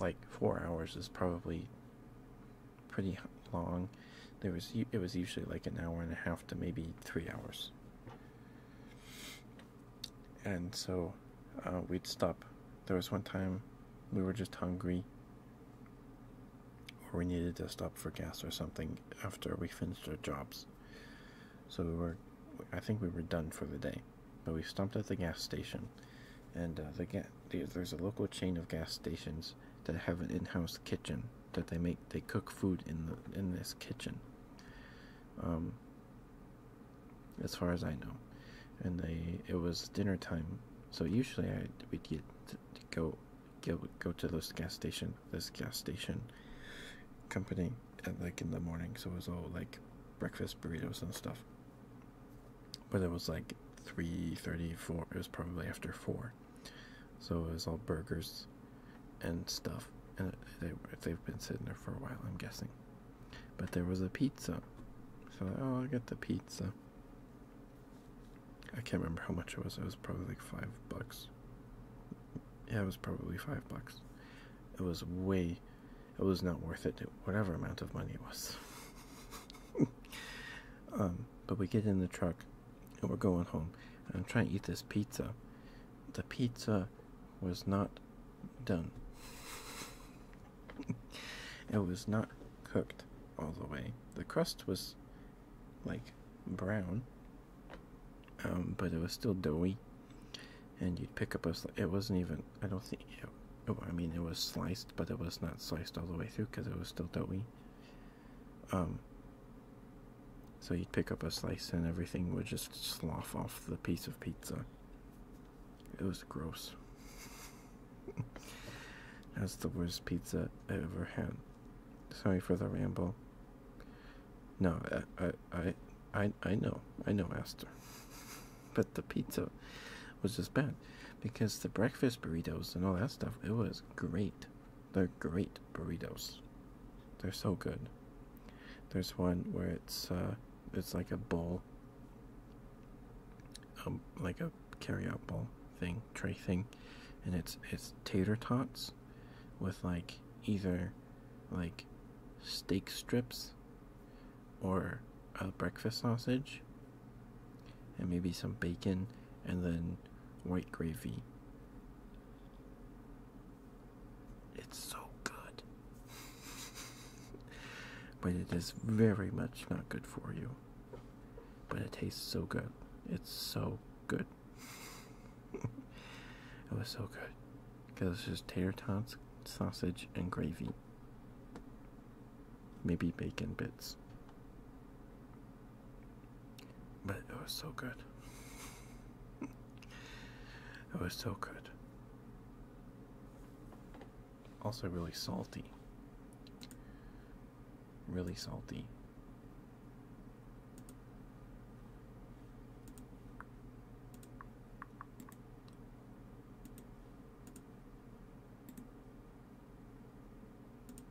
B: like four hours is probably pretty long. There was it was usually like an hour and a half to maybe three hours. And so uh, we'd stop. There was one time we were just hungry, or we needed to stop for gas or something after we finished our jobs. So we were, I think we were done for the day, but we stopped at the gas station, and uh, the ga- there's a local chain of gas stations that have an in-house kitchen that they make they cook food in the in this kitchen um as far as i know and they it was dinner time so usually i would get to, go go go to this gas station this gas station company at like in the morning so it was all like breakfast burritos and stuff but it was like 3 34 it was probably after 4 so it was all burgers and stuff. And they, have been sitting there for a while, I'm guessing. But there was a pizza. So, oh, I'll get the pizza. I can't remember how much it was. It was probably like five bucks. Yeah, it was probably five bucks. It was way, it was not worth it, whatever amount of money it was. <laughs> um, but we get in the truck and we're going home. I'm trying to eat this pizza. The pizza was not done. <laughs> it was not cooked all the way. The crust was like brown, um, but it was still doughy. And you'd pick up a it wasn't even I don't think it, oh, I mean it was sliced, but it was not sliced all the way through because it was still doughy. Um, so you'd pick up a slice and everything would just slough off the piece of pizza. It was gross. <laughs> That's the worst pizza I ever had. Sorry for the ramble. No, I, I, I, I know, I know, Aster. <laughs> but the pizza was just bad, because the breakfast burritos and all that stuff, it was great. They're great burritos. They're so good. There's one where it's uh, it's like a bowl, um, like a carryout bowl thing, tray thing, and it's it's tater tots, with like either, like, steak strips, or a breakfast sausage, and maybe some bacon, and then white gravy it's so good. but it is very much not good for you. But it tastes so good. It's so good. <laughs> it was so good. Because it's just tater tots, sausage, and gravy. Maybe bacon bits.
C: But it was so good. <laughs>
B: it was so good. Also, really salty. Really salty.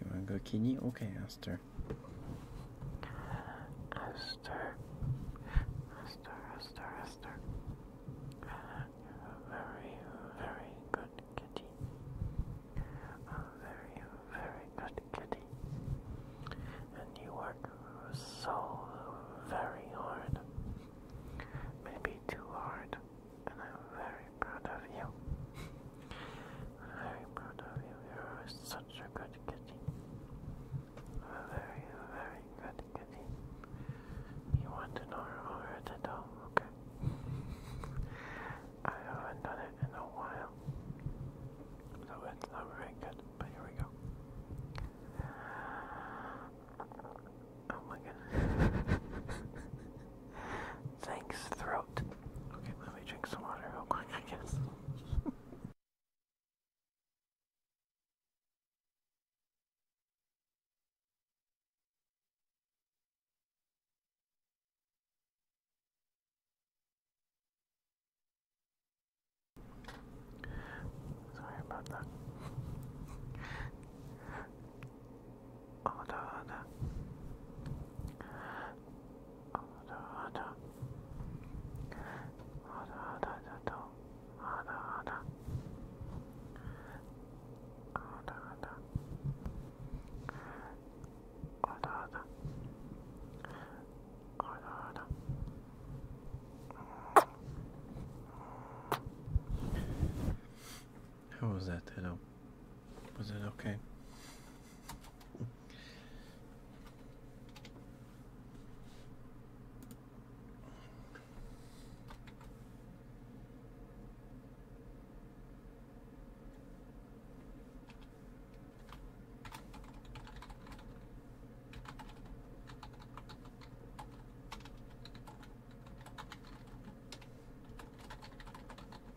B: You wanna go Kitty? Okay, Aster. Aster. Aster, Aster, Aster. A very, very good kitty. A very, very good
C: kitty. And you work so very hard. Maybe too hard. And I'm very proud of you. I'm very proud of you. You're such a good kitty. A very, very good kitty. You want an over the doll, okay? I haven't done it in a while. So it's not very good, but here we go. Oh my goodness. <laughs> Thanks, throat. Okay, let me drink some water real quick, I guess. <laughs> Sorry about that. Hold on.
B: How was that, hello? Was it okay?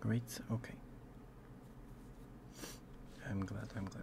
B: Great, okay. I'm glad, I'm glad.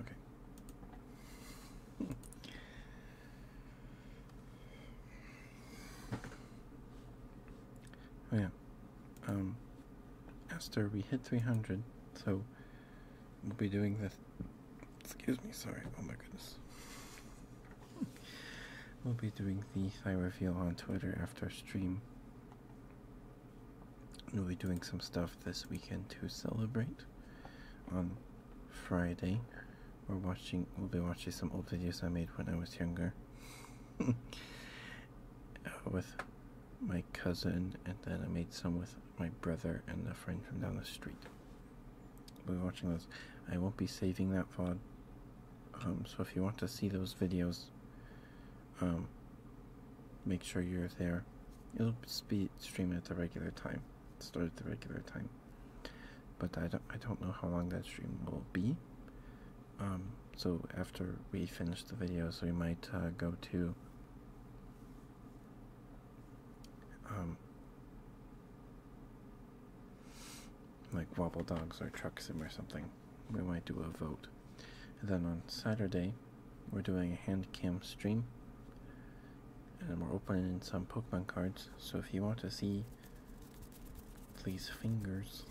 B: Okay. oh yeah. Um, Esther, we hit 300, so we'll be doing this. Excuse me, sorry. Oh my goodness. we'll be doing the thigh reveal on Twitter after our stream. We'll be doing some stuff this weekend to celebrate. On Friday, we're watching. We'll be watching some old videos I made when I was younger. <laughs> Uh, with my cousin, and then I made some with my brother and a friend from down the street. We're watching those. I won't be saving that VOD. Um, so if you want to see those videos, um, make sure you're there. It'll be streamed at the regular time. Start at the regular time. But I don't, I don't know how long that stream will be. Um, so after we finish the videos, we might uh, go to um, like wobble dogs or truck or something, we might do a vote. then on Saturday, we're doing a hand cam stream, and we're opening some Pokemon cards. So if you want to see please fingers,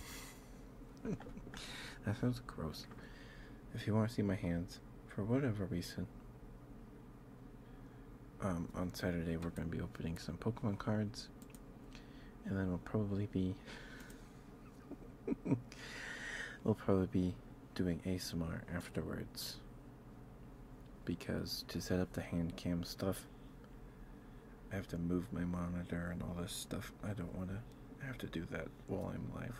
B: <laughs> that feels gross. If you want to see my hands, for whatever reason, um, on Saturday we're going to be opening some Pokemon cards, and then we'll probably be <laughs> we'll probably be doing ASMR afterwards because to set up the hand cam stuff, I have to move my monitor and all this stuff. I don't want to have to do that while I'm live.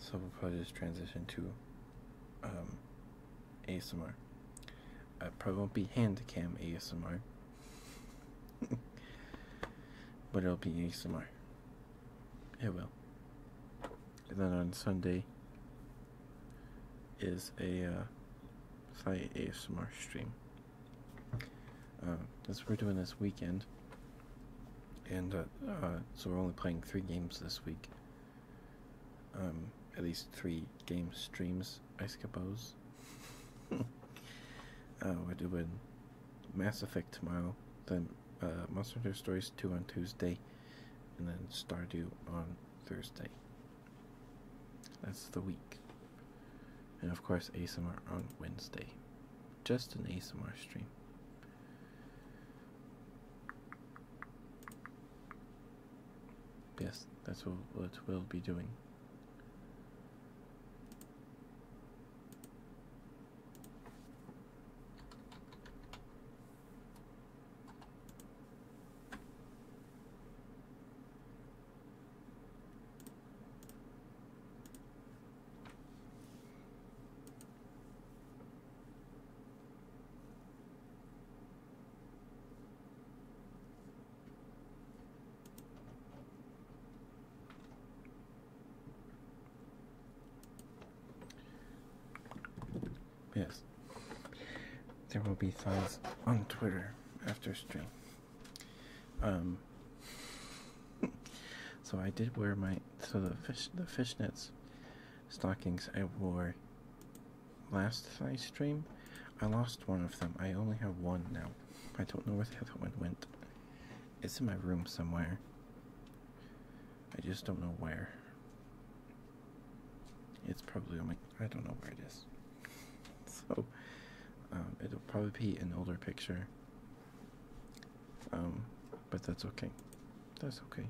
B: So we'll probably just transition to um, ASMR. I probably won't be hand cam ASMR, <laughs> but it'll be ASMR. It will. And then on Sunday is a uh, ASMR stream. Um, that's what we're doing this weekend and uh, uh, so we're only playing three games this week. Um, at least three game streams, I suppose. <laughs> Uh, we're doing Mass Effect tomorrow, then Monster Hunter Stories 2 on Tuesday, and then Stardew on Thursday. That's the week. And of course, ASMR on Wednesday. Just an ASMR stream. Yes, that's what, we'll be doing. Yes. There will be signs on Twitter after stream. Um <laughs> so I did wear my so the fish the fishnets stockings I wore last I stream, I lost one of them. I only have one now. I don't know where the other one went. It's in my room somewhere. I just don't know where. It's probably on my. I don't know where it is. <laughs> So, um, it'll probably be an older picture. Um, but that's okay. That's okay.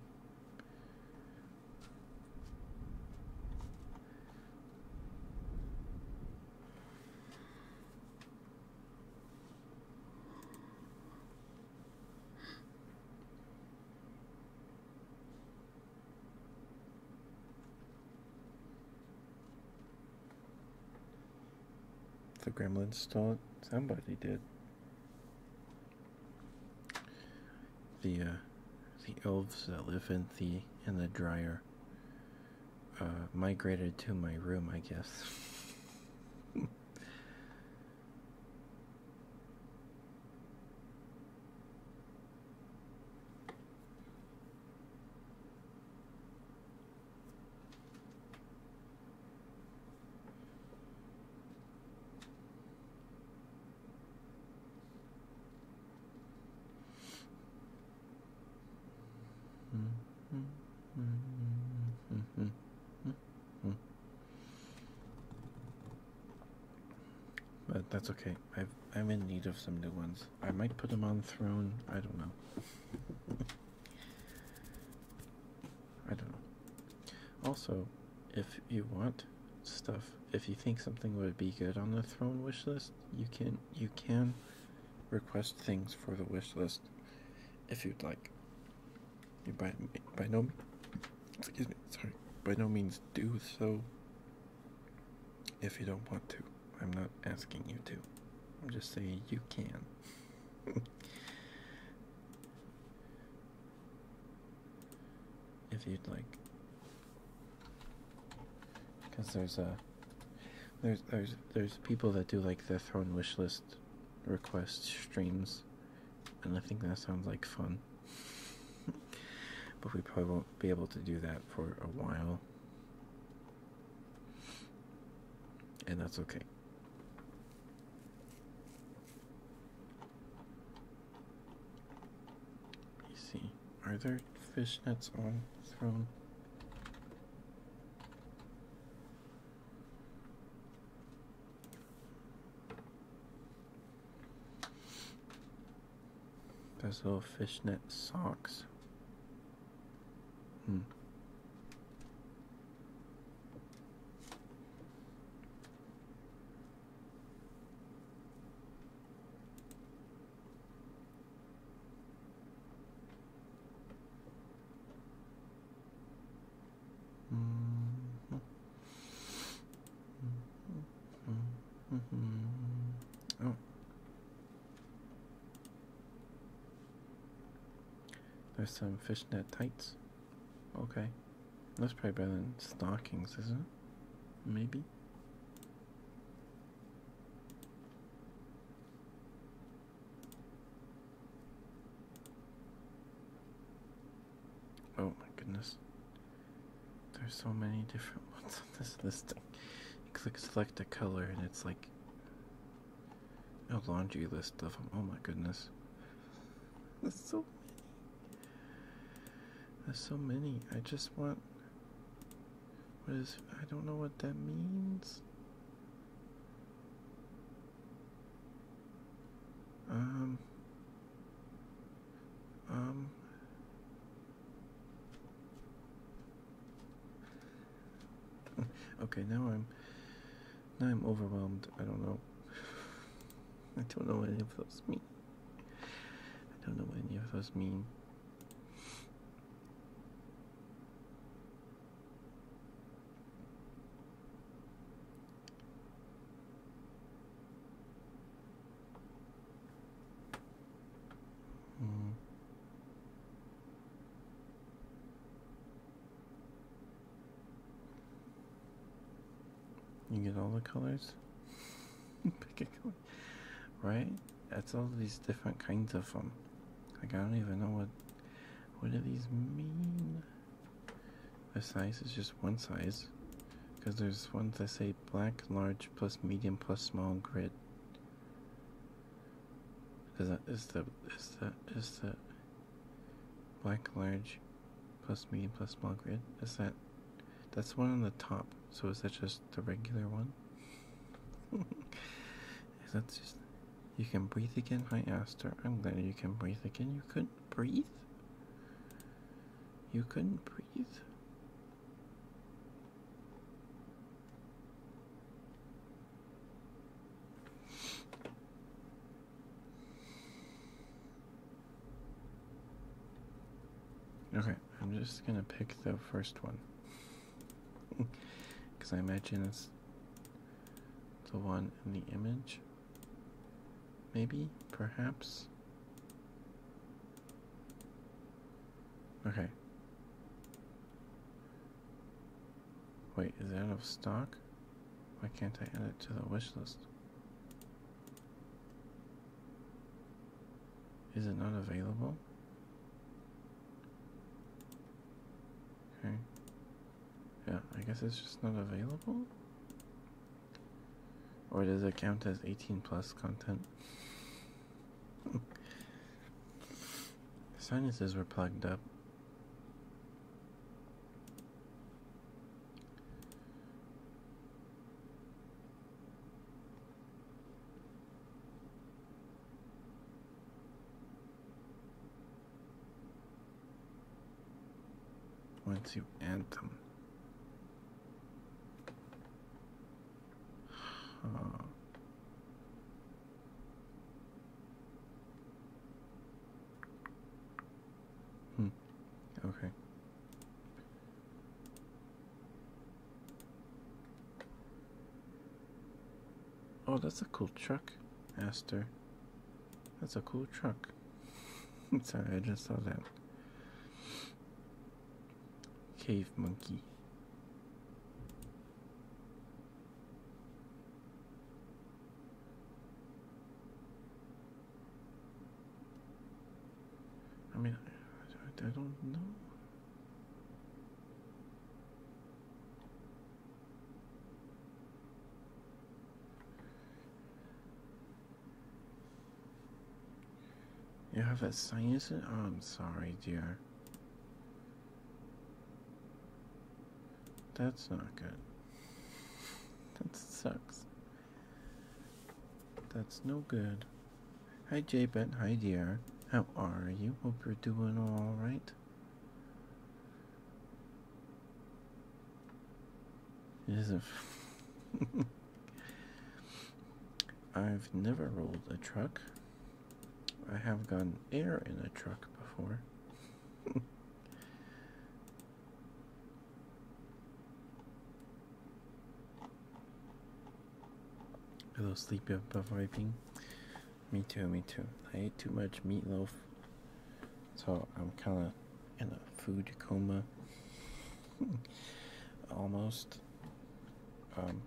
B: The gremlins stole it. Somebody did. The uh, the elves that live in the in the dryer uh, migrated to my room, I guess. But that's okay. I've, I'm in need of some new ones. I might put them on Throne. I don't know. I don't know. Also, if you want stuff, if you think something would be good on the throne wish list, you can you can request things for the wish list if you'd like. You by by no excuse me sorry by no means do so if you don't want to. I'm not asking you to. I'm just saying you can. <laughs> if you'd like because there's a there's there's there's people that do like the throne wish list request streams and I think that sounds like fun <laughs> but we probably won't be able to do that for a while and that's okay see, are there fish nets on thrown? Those little fishnet socks. Hmm. There's some fishnet tights. Okay. That's probably better than stockings, isn't it? Maybe. Oh my goodness. There's so many different <laughs> ones on this listing. You click select a color and it's like a laundry list of them. Oh my goodness. There's so many. There's so many. I just want. What is. I don't know what that means. Um. Um. <laughs> okay, now I'm now I'm overwhelmed. I don't know. I don't know what any of those mean. I don't know what any of those mean. Mm. You get all the colors? <laughs> Pick a color. Right? That's all these different kinds of them. Like I don't even know what what do these mean? The size is just one size. Because there's ones that say black, large, plus medium, plus small grid. Is that is the is the is the Black large plus medium plus small grid. Is that that's the one on the top, so is that just the regular one? is <laughs> that just you can breathe again? Hi Aster. I'm glad you can breathe again. You couldn't breathe? You couldn't breathe? Okay, I'm just gonna pick the first one. Because <laughs> I imagine it's the one in the image. Maybe, perhaps. Okay. Wait, is that out of stock? Why can't I add it to the wish list? Is it not available? Okay. Yeah, I guess it's just not available. Or does it count as 18 plus content? <laughs> Sinuses were plugged up. Once you anthem. Huh. Hmm. Okay. Oh, that's a cool truck, Aster. That's a cool truck. <laughs> Sorry, I just saw that. Cave monkey. I mean, I, don't know. You have a science? Oh, I'm sorry, dear. That's not good. That sucks. That's no good. Hi, Ben. Hi, dear. How are you? Hope you're doing all right. Is a. <laughs> I've never rolled a truck. I have gotten air in a truck before. <laughs> A little sleepy buffalo vaping. Me too, me too. I ate too much meatloaf, so I'm kind of in a food coma. <laughs> Almost. Um,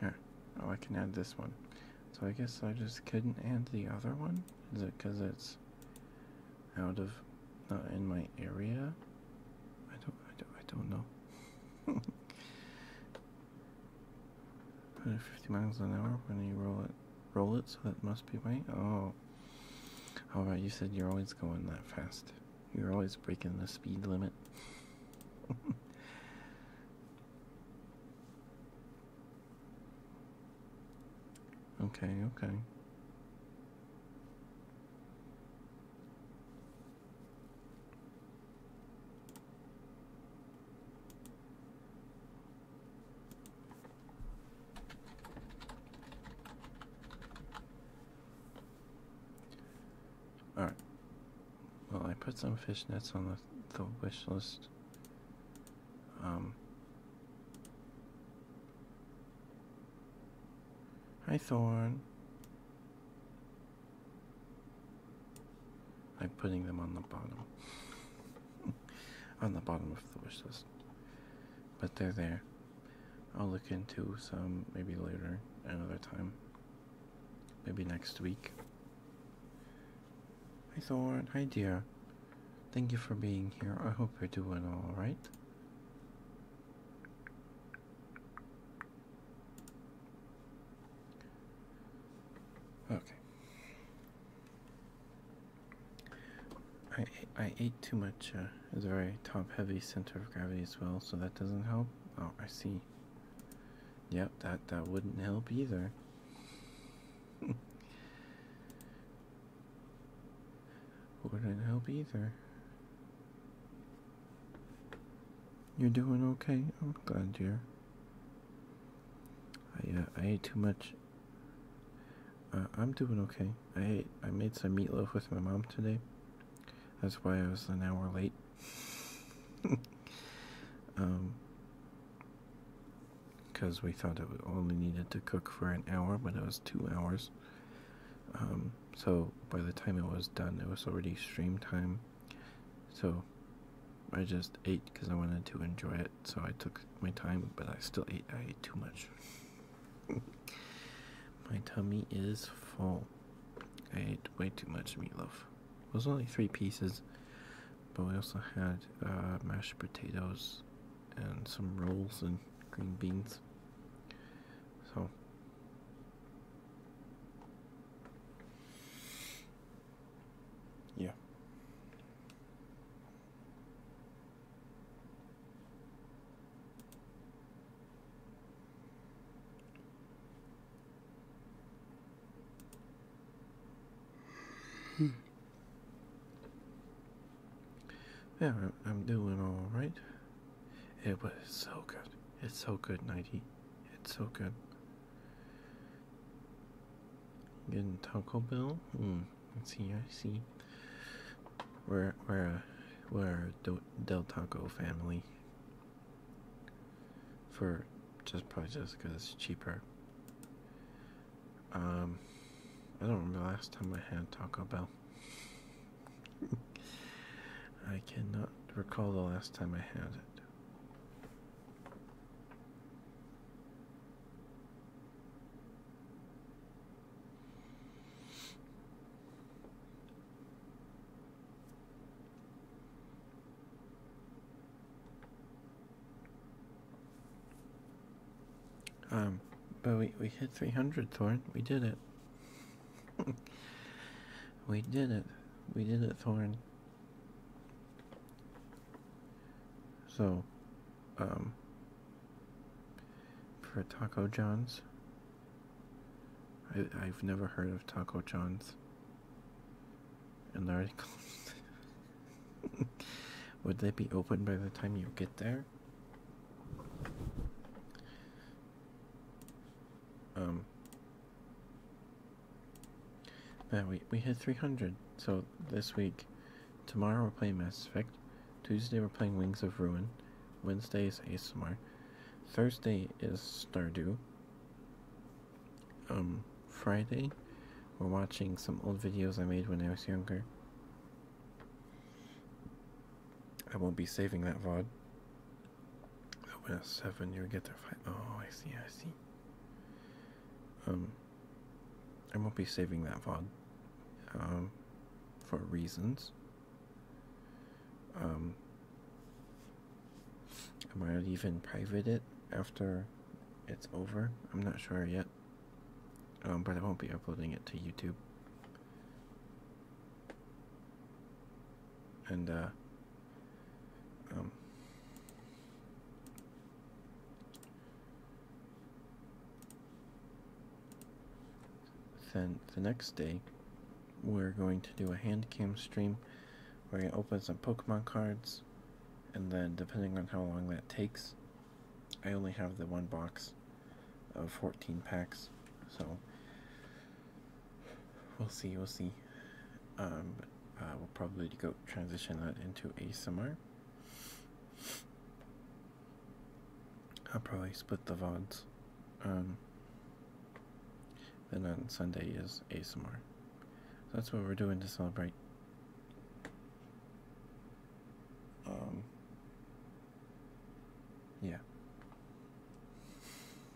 B: here. Oh, I can add this one. So I guess I just couldn't add the other one? Is it because it's out of, not in my area? I don't, I don't, I don't know. 150 <laughs> miles an hour when you roll it roll it, so that must be right. Oh, all right. You said you're always going that fast. You're always breaking the speed limit. <laughs> okay. Okay. Alright. Well, I put some fishnets on the, the wish list. Um. Hi, Thorn. I'm putting them on the bottom. <laughs> on the bottom of the wish list but they're there. I'll look into some maybe later, another time. Maybe next week. Hi Thor, hi dear. Thank you for being here. I hope you're doing alright. Okay. I I ate too much. Uh, it's a very top-heavy center of gravity as well, so that doesn't help. Oh, I see. Yep, that that wouldn't help either. <laughs> wouldn't help either. You're doing okay. I'm glad, dear. I uh, I ate too much uh, I'm doing okay. I I made some meatloaf with my mom today. That's why I was an hour late. <laughs> um, because we thought it only needed to cook for an hour, but it was two hours. Um, so by the time it was done, it was already stream time. So I just ate because I wanted to enjoy it. So I took my time, but I still ate. I ate too much. My tummy is full. I ate way too much meatloaf. It was only three pieces, but we also had uh, mashed potatoes and some rolls and green beans. So. Yeah. Hmm. Yeah, I'm doing all right. It was so good. It's so good, Nighty. It's so good. Getting Taco Bell? Hmm. Let's see, I see. We're we're a, uh, we're a Del Taco family. For just probably just because it's cheaper. Um, I don't remember the last time I had Taco Bell. <laughs> I cannot recall the last time I had it. Um, but we, we hit 300, Thorn. We did it. <laughs> we did it. We did it, Thorn. So, um, for Taco John's. I, I've never heard of Taco John's. And they're closed. <laughs> Would they be open by the time you get there? Um. Man, we we hit three hundred. So this week, Tomorrow we're playing Mass Effect. Tuesday we're playing Wings of Ruin. Wednesday is ASMR. Thursday is Stardew. Um, Friday we're watching some old videos I made when I was younger. I won't be saving that VOD. Open you get there 5. Oh, I see, I see. Um, I won't be saving that VOD. Um, for reasons. Um, I might even private it after it's over. I'm not sure yet. Um, but I won't be uploading it to YouTube. And, uh, um, then the next day, we're going to do a hand cam stream where I open some Pokemon cards, and then depending on how long that takes, I only have the one box of 14 packs, so we'll see, we'll see. Um, we'll probably go transition that into ASMR. I'll probably split the VODs. Um, then on Sunday is ASMR. that's what we're doing to celebrate. Um, yeah.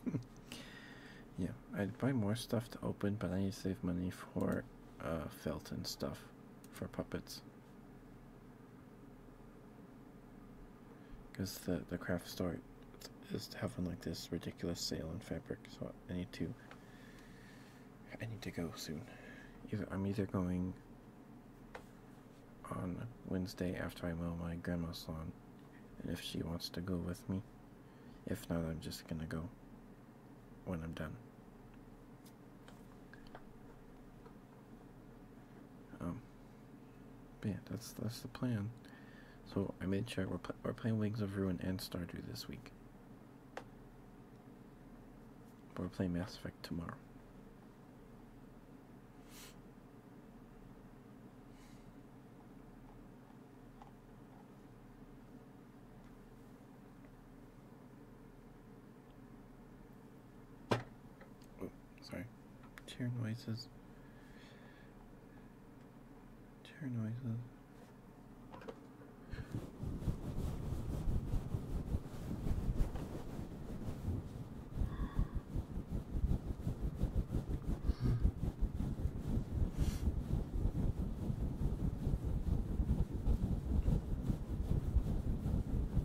B: <laughs> yeah, I'd buy more stuff to open, but I need to save money for uh, felt and stuff for puppets. Because the, the craft store is having like this ridiculous sale on fabric, so I need to I need to go soon. Either I'm either going on Wednesday after I mow my grandma's lawn, and if she wants to go with me. If not, I'm just gonna go when I'm done. Um, yeah, that's that's the plan. So I made sure we're we're playing Wings of Ruin and Stardew this week. we're playing Mass Effect tomorrow.
C: Oh, sorry. Tear
B: noises. Tear noises.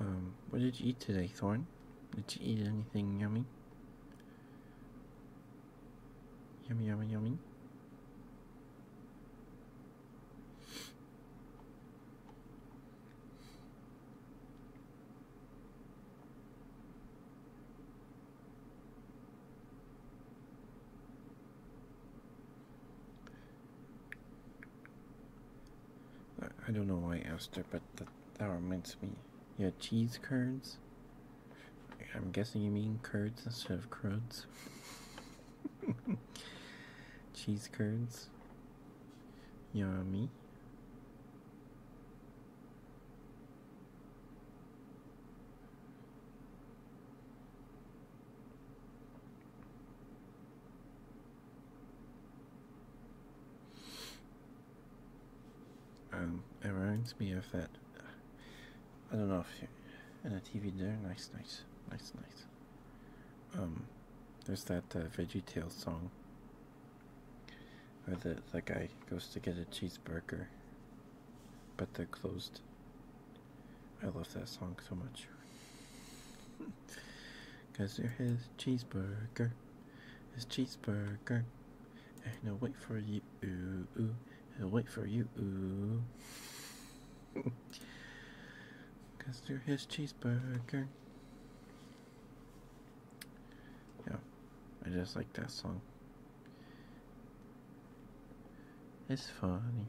B: Um, what did you eat today, Thorn? Did you eat anything yummy? Yummy, yummy, yummy. I don't know why I asked her, but that, reminds me. Yeah, cheese curds? I'm guessing you mean curds instead of cruds. <laughs> cheese curds? Yummy. Um, it reminds me of that. I don't know if you're in a TV there. Nice, nice, nice, nice. Um, there's that uh, Veggie Tale song where the, the guy goes to get a cheeseburger, but they're closed. I love that song so much. <laughs> Cause there is his cheeseburger, his cheeseburger. And I'll wait for you, I'll wait for you, ooh. <laughs> Cause there is cheeseburger. Yeah, I just like that song. It's funny.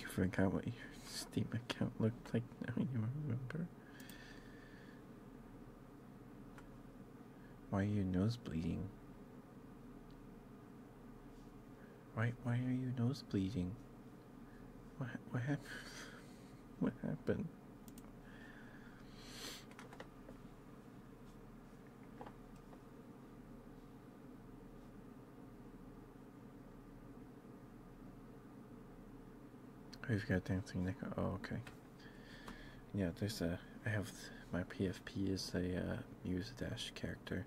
B: You forgot what your Steam account looked like now you remember. Why are you nose bleeding? Why why are you nose bleeding? What what happened? <laughs> What happened? who oh, have got dancing Nick? Oh, okay. Yeah, there's a. I have my PFP is a uh, Muse Dash character.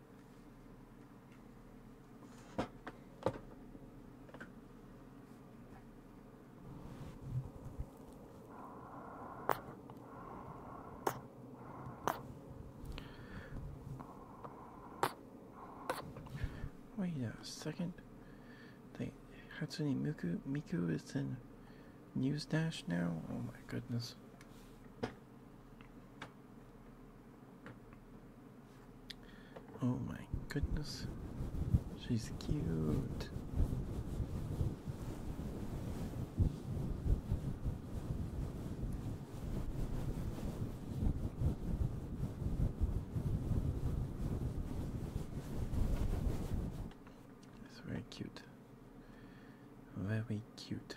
B: Wait a second. They Hatsune Miku Miku is in News Dash now? Oh my goodness. Oh my goodness, she's cute. It's very cute. Very cute.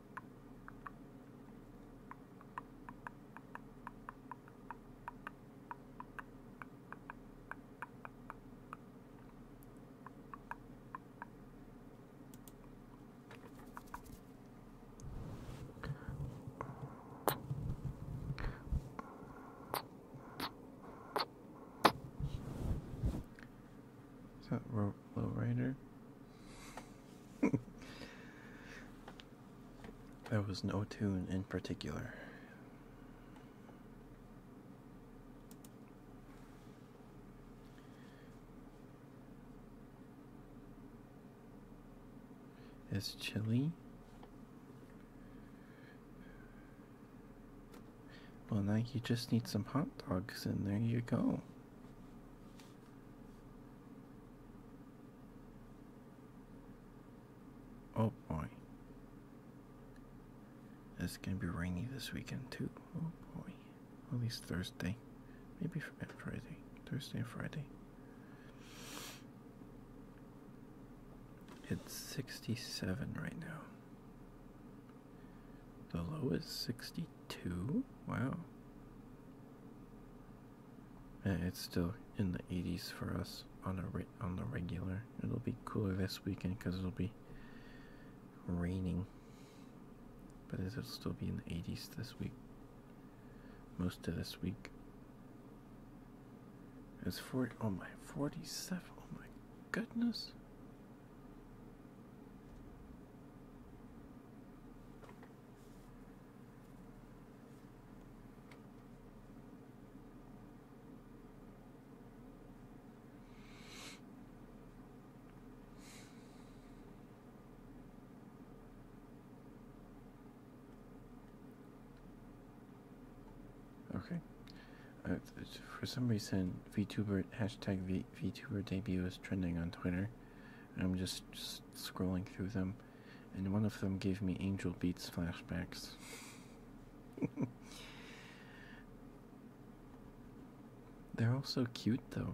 B: Is that Low Rider? <laughs> there was no tune in particular. It's chilly. Well, now you just need some hot dogs, and there you go. Oh boy. It's gonna be rainy this weekend too. Oh boy. At least Thursday. Maybe uh, Friday. Thursday and Friday. It's 67 right now. The low is 62? Wow. It's still in the 80s for us on a on the regular. It'll be cooler this weekend because it'll be raining, but it'll still be in the 80s this week. Most of this week. It's 40. Oh my, 47. Oh my
C: goodness. Okay.
B: Uh, for some reason, v-tuber hashtag v, tuber debut is trending on Twitter. I'm just scrolling through them, and one of them gave me Angel Beats flashbacks. <laughs> They're all so cute, though.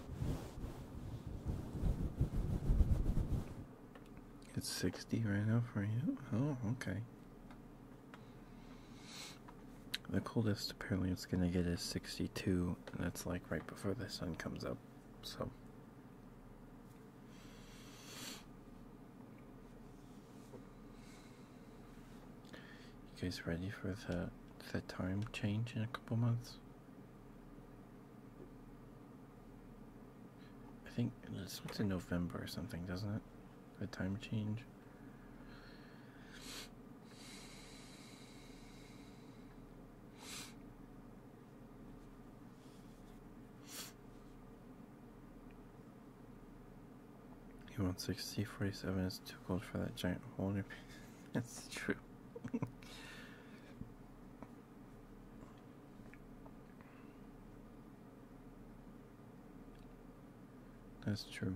B: It's 60 right now for you? Oh, okay. The coldest apparently it's going to get is 62, and that's like right before the sun comes up, so. You guys ready for the, the time change in a couple months? I think it's in November or something, doesn't it? The time change. U one sixty forty seven is too cold for that giant hole in your <laughs> That's true. <laughs> That's true.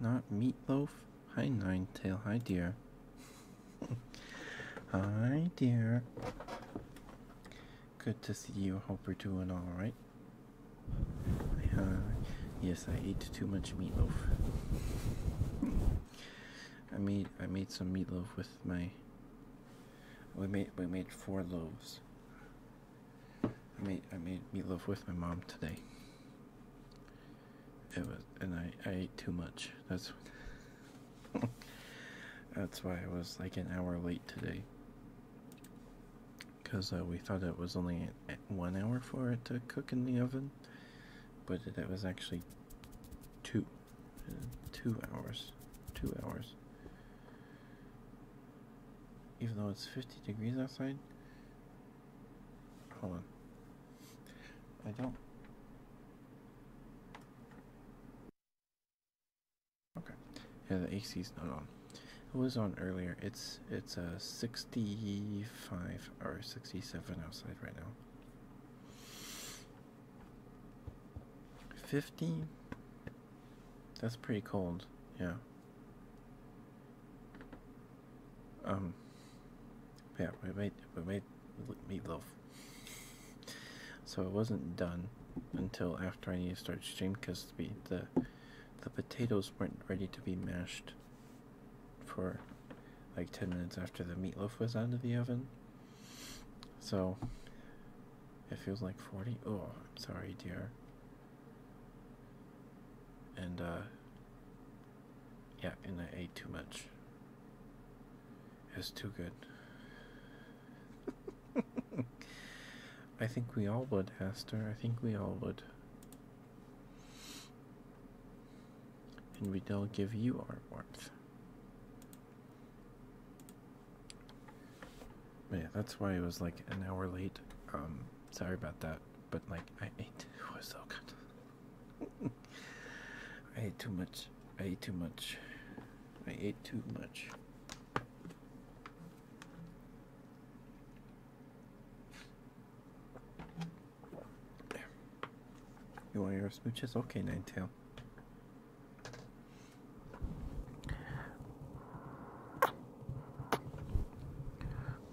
B: Not meatloaf. Hi, nine tail. Hi, dear. <laughs> Hi, dear. Good to see you. Hope you're doing all right. Uh, yes, I ate too much meatloaf. I made I made some meatloaf with my. We made we made four loaves. I made I made meatloaf with my mom today. It was and I I ate too much. That's <laughs> that's why I was like an hour late today. Cause uh, we thought it was only one hour for it to cook in the oven, but it, was actually two, two hours, two hours. Even though it's 50 degrees outside, Hold on. I don't. Okay. Yeah, the AC is not on. It was on earlier. It's it's a 65 or 67 outside right now. 50. That's pretty cold. Yeah. Um, yeah, we made we made meatloaf, so it wasn't done until after I needed to start stream because the the the potatoes weren't ready to be mashed for like 10 minutes after the meatloaf was out of the oven. So it feels like 40. Oh, I'm sorry, dear. And, uh, yeah, and I ate too much. It's too good. <laughs> I think we all would, Hester. I think we all would. And we don't give you our warmth. yeah, that's why it was like an hour late. Um, sorry about that but like I ate it was so oh, good. I ate too much. I ate too much. I ate too much. There. You want your smooches? Okay, Ninetale.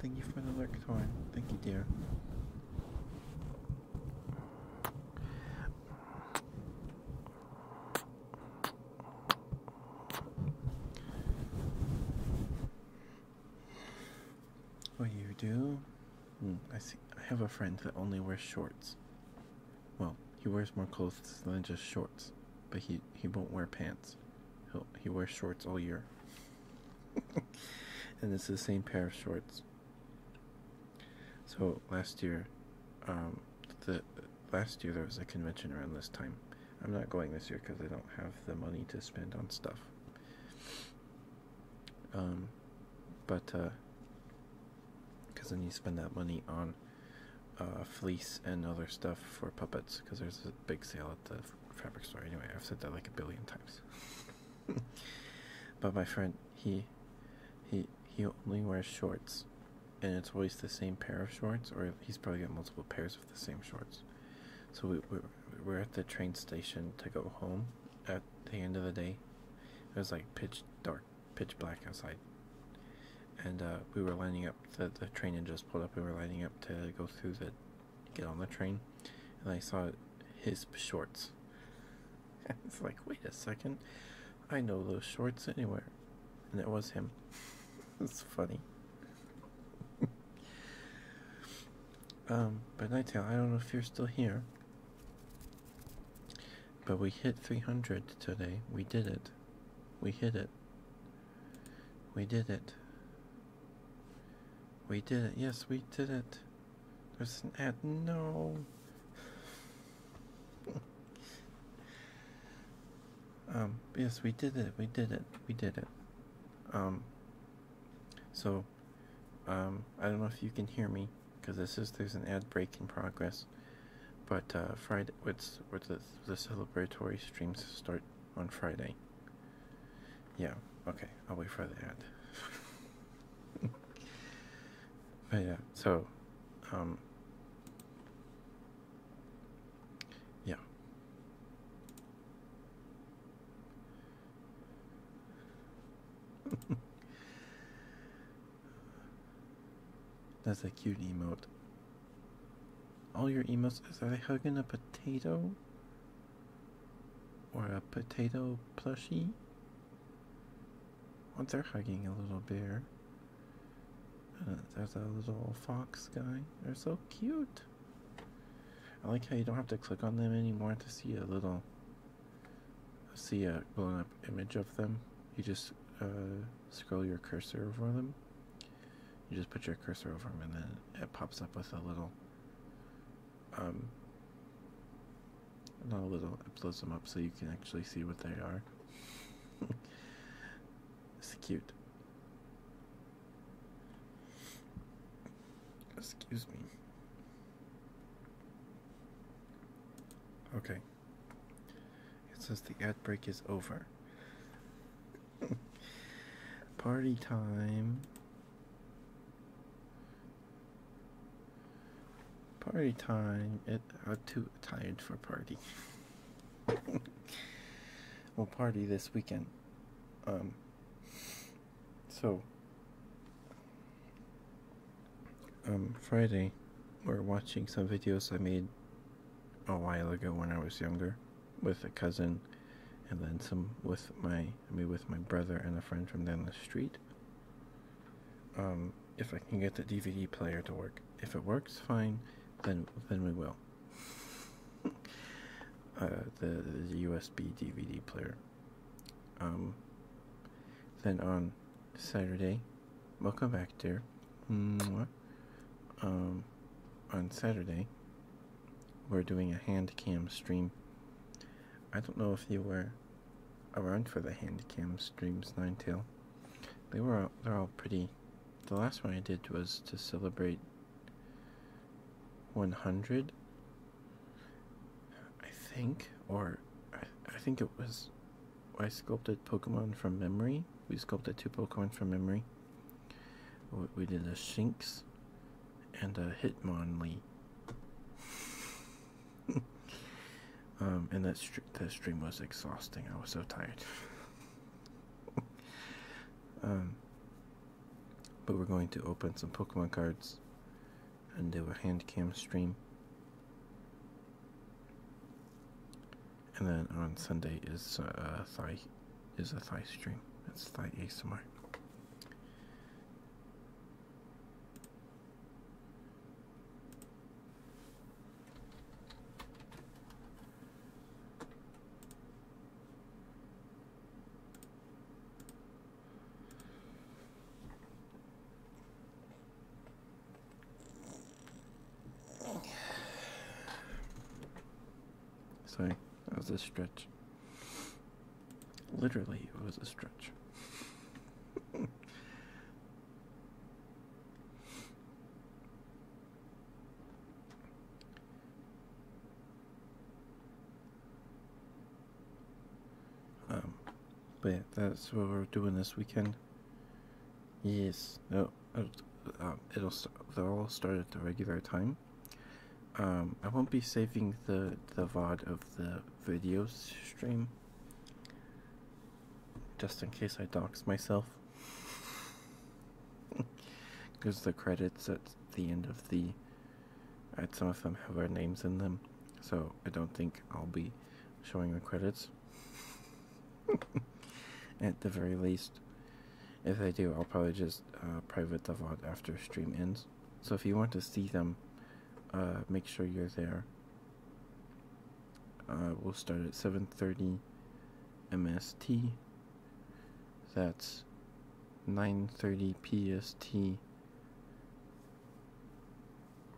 B: Thank you for the lectern. Thank you, dear. What do you do? Mm, I see. I have a friend that only wears shorts. Well, he wears more clothes than just shorts, but he he won't wear pants he he wears shorts all year. <laughs> and it's the same pair of shorts. So last year, um, the last year there was a convention around this time. I'm not going this year because I don't have the money to spend on stuff. Um, but uh, because uh, then you spend that money on uh, fleece and other stuff for puppets because there's a big sale at the fabric store. Anyway, I've said that like a billion times. <laughs> but my friend, he, he, he only wears shorts, and it's always the same pair of shorts, or he's probably got multiple pairs of the same shorts. So we we're, at the train station to go home. At the end of the day, it was like pitch dark, pitch black outside. And uh, we were lining up, the, the train had just pulled up, we were lining up to go through the get on the train, and I saw his shorts. it's <laughs> like, wait a second, I know those shorts anywhere. And it was him. <laughs> it's funny. <laughs> um, but Nighttail, I don't know if you're still here. But we hit 300 today. We did it. We hit it. We did it. We did it. Yes, we did it. There's an ad. No. <laughs> um, yes, we did it. We did it. We did it. Um, so, um, I don't know if you can hear me because this is there's an ad break in progress, but uh, Friday, what's, what's the, the celebratory streams start on Friday. Yeah, okay, I'll wait for the ad. <laughs> but yeah, so, um, yeah. <laughs> That's a cute emote all your emos Is that a hug a potato? Or a potato plushie? Oh, they're hugging a little bear. Uh, there's a little fox guy. They're so cute. I like how you don't have to click on them anymore to see a little, see a blown up image of them. You just uh, scroll your cursor over them you just put your cursor over them and then it pops up with a little um, not a little it blows them up so you can actually see what they are <laughs> it's cute excuse me okay it says the ad break is over <laughs> Party time. Party time. It, I'm too tired for party. <laughs> we'll party this weekend. Um, so, um, Friday, we're watching some videos I made a while ago when I was younger with a cousin, and then some with my I with my brother and a friend from down the street. Um, if I can get the DVD player to work, if it works, fine. Then then we will. <laughs> Uh, the, the USB DVD player. Um. Then on Saturday, welcome back, dear. Mwah. Um, on Saturday, we're doing a hand cam stream. I don't know if you were around for the hand cam streams, Nine tail, They were all, they're all pretty. The last one I did was to celebrate 100, I think, or I, I think it was. I sculpted Pokemon from memory. We sculpted two Pokemon from memory. We did a Shinx and a Hitmonlee. <laughs> Um, and that, that stream was exhausting. I was so tired. <laughs> Um, but we're going to open some Pokemon cards and do a hand cam stream. And then on Sunday is uh, Thai is a thigh stream. It's thigh ASMR. Sorry. That was a stretch. Literally, it was a stretch. <laughs> um, but that's what we're doing this weekend. Yes, no, um, it'll they they'll all start at the regular time. Um, I won't be saving the the VOD of the video stream, just in case I dox myself, because <laughs> the credits at the end of the, at some of them have our names in them, so I don't think I'll be showing the credits. <laughs> at the very least, if I do, I'll probably just uh, private the VOD after stream ends. So if you want to see them, uh, make sure you're there. Uh, we'll start at 7.30 MST. That's 9.30 PST.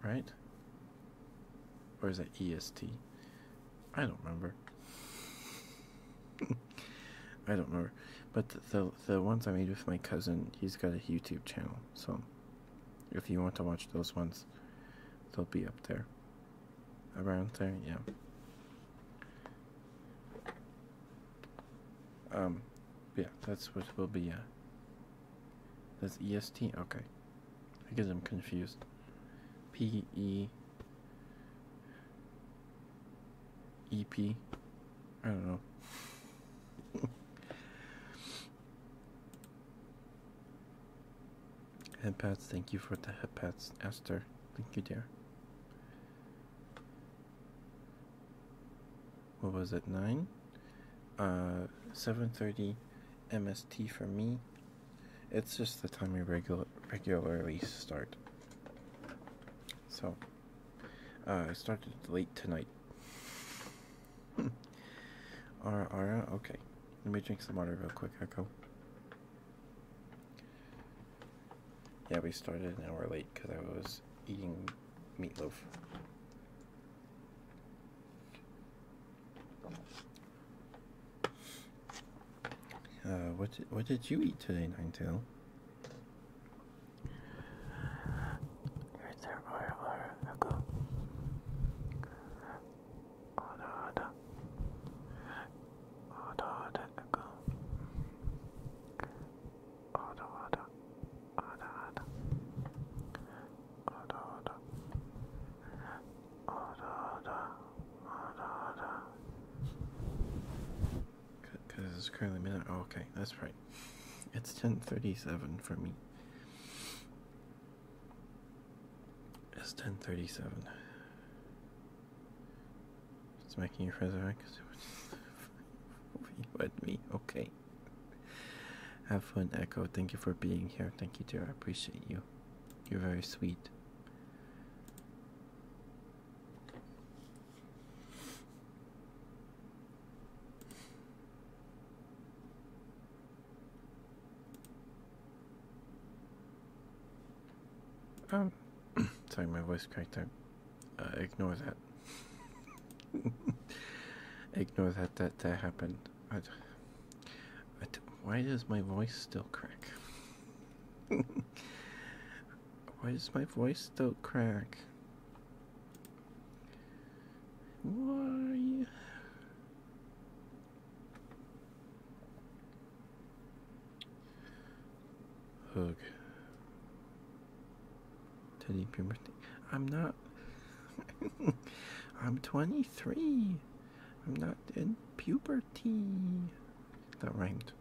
B: Right? Where's that EST? I don't remember. I don't know, but the the ones I made with my cousin, he's got a YouTube channel, so if you want to watch those ones, they'll be up there. Around there, yeah. Um, yeah, that's what will be. Uh, that's EST. Okay, I guess I'm confused. P E. EP. I don't know. <laughs> Headpats, thank you for the headpats, Esther. Thank you, there. What was it? Nine. Uh, seven thirty, MST for me. It's just the time we regular regularly start. So. Uh, I started late tonight. <laughs> Alright, alright, okay. Let me drink some water real quick, Echo. Yeah, we started an hour late because I was eating meatloaf. Uh, what did, what did you eat today, Nine Tail? Reservoir or Oda oda. Oda oda Oda oda. Oda oda. Oda oda. Oda oda. Oda oda. Because it's currently midnight. Oh, okay, that's right. It's 10:37 for me. It's 10:37. It's making you resurrect. <laughs> With me, okay. Have fun, Echo. Thank you for being here. Thank you, dear. I appreciate you. You're very sweet. Um, <clears throat> sorry, my voice cracked out. Uh, ignore that. <laughs> ignore that, that that happened. why does my voice still crack? <laughs> Why does my voice still crack? Why? Hug. Teddy your I'm not. <laughs> I'm 23. I'm not in puberty. That rhymed.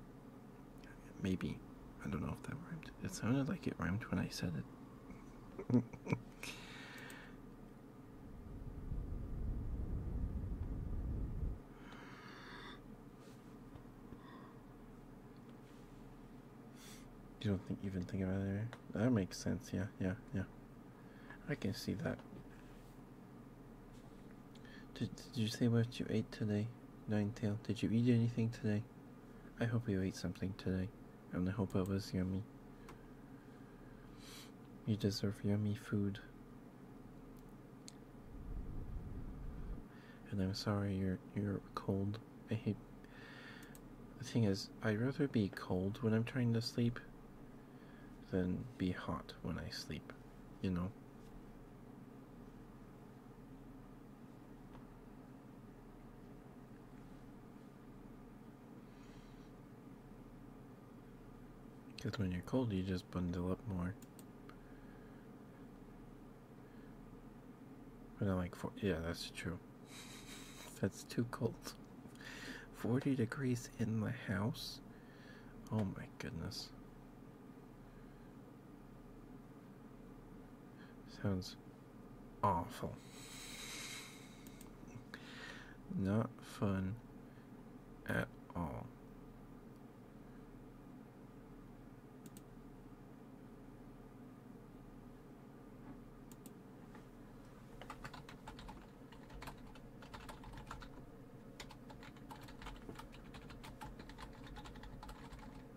B: Maybe. I don't know if that rhymed. It sounded like it rhymed when I said it. You don't think even think about it. That makes sense. Yeah, yeah, yeah. I can see that. Did Did you say what you ate today? Nine tail, did you eat anything today? I hope you ate something today, and I hope it was yummy. You deserve yummy food. And I'm sorry you're you're cold. I hate the thing is I'd rather be cold when I'm trying to sleep than be hot when I sleep, you know. Because when you're cold, you just bundle up more. But I like four. Yeah, that's true. that's too cold. 40 degrees in the house? Oh my goodness. Sounds awful. Not fun at all.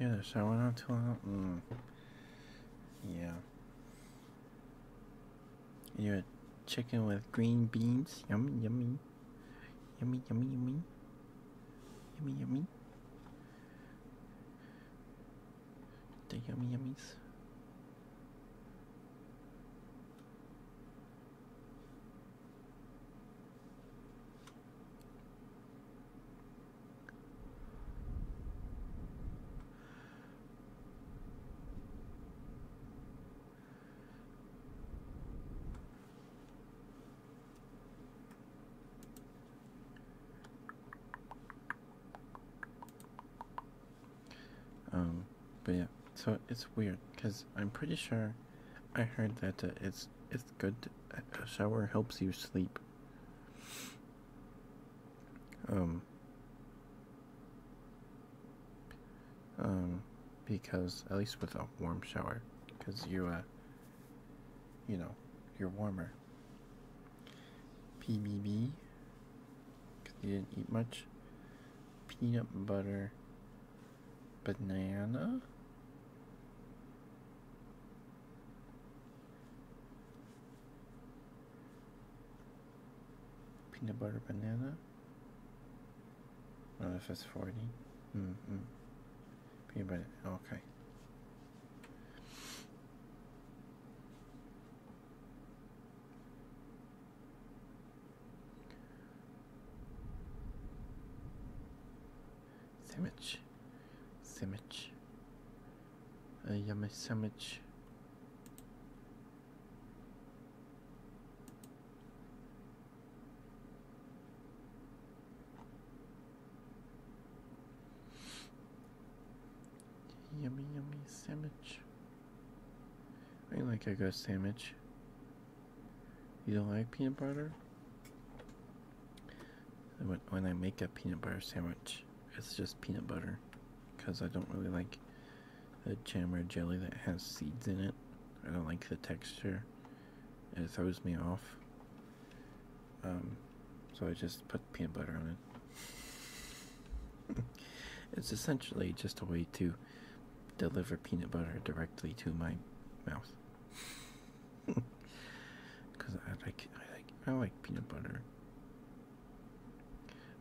B: Yeah, so I went out to. Mm, yeah. You're a chicken with green beans. Yummy, yummy. Yummy, yummy, yummy. Yummy, yummy. The yummy yummies. Um, but yeah, so it's weird because I'm pretty sure I heard that uh, it's it's Good uh, shower helps you sleep. Um, um. because at least with a warm shower, because you uh. You know, you're warmer. PBB. Cause you didn't eat much. Peanut butter. Banana. Peanut butter banana. Oh, if it's 40. Mm hmm. Peanut butter. Okay. Sandwich. Sandwich. A uh, yummy sandwich. Yummy, yummy sandwich. I like a good sandwich. You don't like peanut butter? When, I make a peanut butter sandwich, it's just peanut butter because I don't really like the jam or jelly that has seeds in it. I don't like the texture, it throws me off. Um, so I just put peanut butter on it. <laughs> it's essentially just a way to deliver peanut butter directly to my mouth. Because <laughs> I like, I like, I like peanut butter.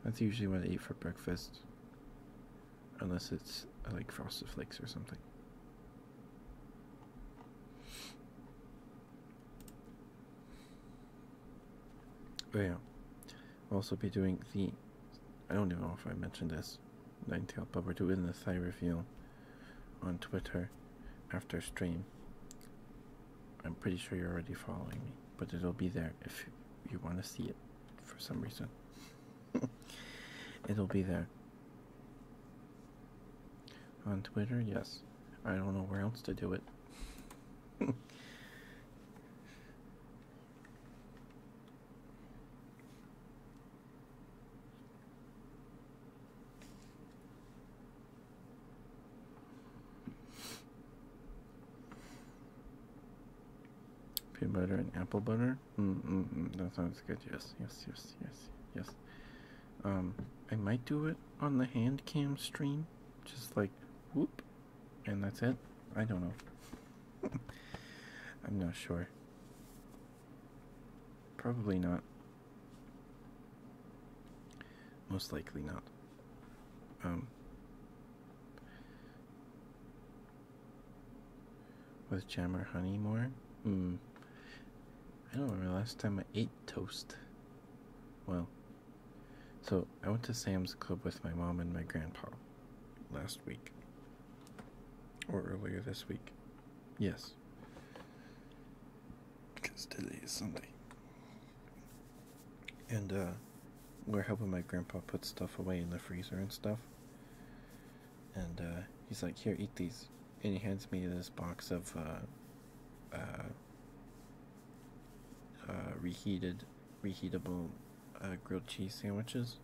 B: That's usually what I eat for breakfast, unless it's like frosted flakes or something. Oh yeah, also be doing the. I don't even know if I mentioned this. Ninetale, but we're doing the Thai reveal on Twitter after stream. I'm pretty sure you're already following me, but it'll be there if you want to see it for some reason. <laughs> it'll be there. On Twitter, yes. I don't know where else to do it. <laughs> Peanut butter and apple butter. Mm, mm, mm, that sounds good. Yes, yes, yes, yes, yes. Um, I might do it on the hand cam stream, just like whoop, and that's it. I don't know. <laughs> I'm not sure. Probably not. Most likely not. Um, with jam or honey more? Hmm. I don't remember last time I ate toast. Well, so I went to Sam's Club with my mom and my grandpa last week. Or earlier this week. Yes because today is Sunday. And uh, we're helping my grandpa put stuff away in the freezer and stuff. And uh, he's like, Here, eat these. And he hands me this box of uh, reheated, reheatable grilled cheese sandwiches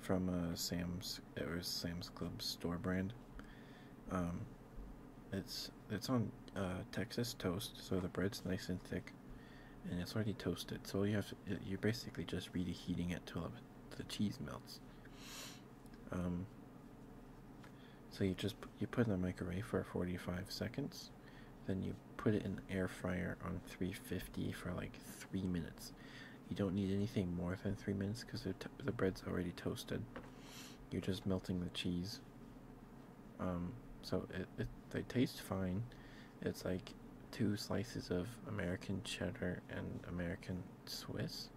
B: from uh, Sam's, it Sam's Club store brand. Um, it's it's on uh, Texas toast, so the bread's nice and thick, and it's already toasted. So you have to, you're basically just reheating it till the cheese melts. Um, so you just you put in the microwave for 45 seconds, then you put it in the air fryer on 350 for like three minutes. You don't need anything more than three minutes because the, the bread's already toasted you're just melting the cheese. Um, so it, it they taste fine. It's like two slices of American cheddar and American Swiss.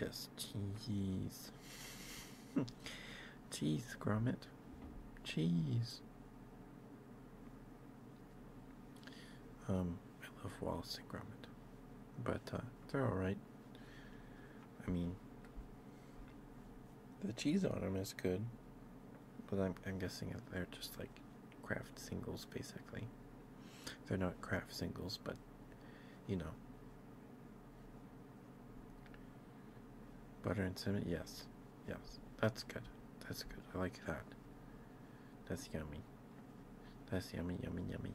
B: Yes, cheese. <laughs> cheese, grommet. Cheese. Um, I love Wallace and Gromit, but uh, they're all right. I mean, the cheese on them is good, but I'm I'm guessing they're just like craft singles basically. They're not craft singles, but you know. Butter and cinnamon, yes, yes, that's good. That's good. I like that. That's yummy. That's yummy, yummy, yummy.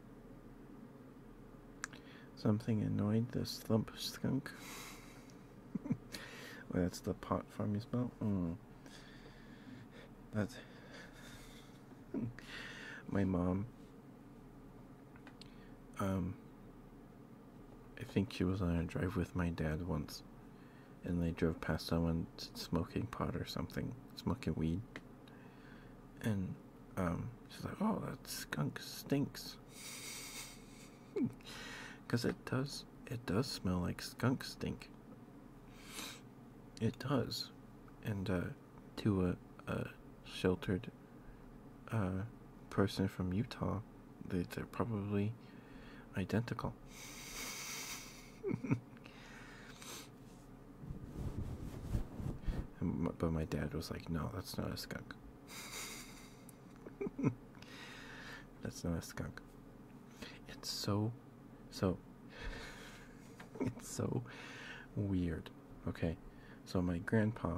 B: Something annoyed the slump skunk. <laughs> that's the pot farm you smell. Hmm. That's <laughs> my mom. Um, I think she was on a drive with my dad once, and they drove past someone smoking pot or something, smoking weed, and um, she's like, "Oh, that skunk stinks," because <laughs> it does. It does smell like skunk stink. It does, and uh, to a, a sheltered uh, person from Utah, they're probably identical. <laughs> but my dad was like, "No, that's not a skunk." That's not a skunk. It's so, so, it's so weird. Okay, so my grandpa,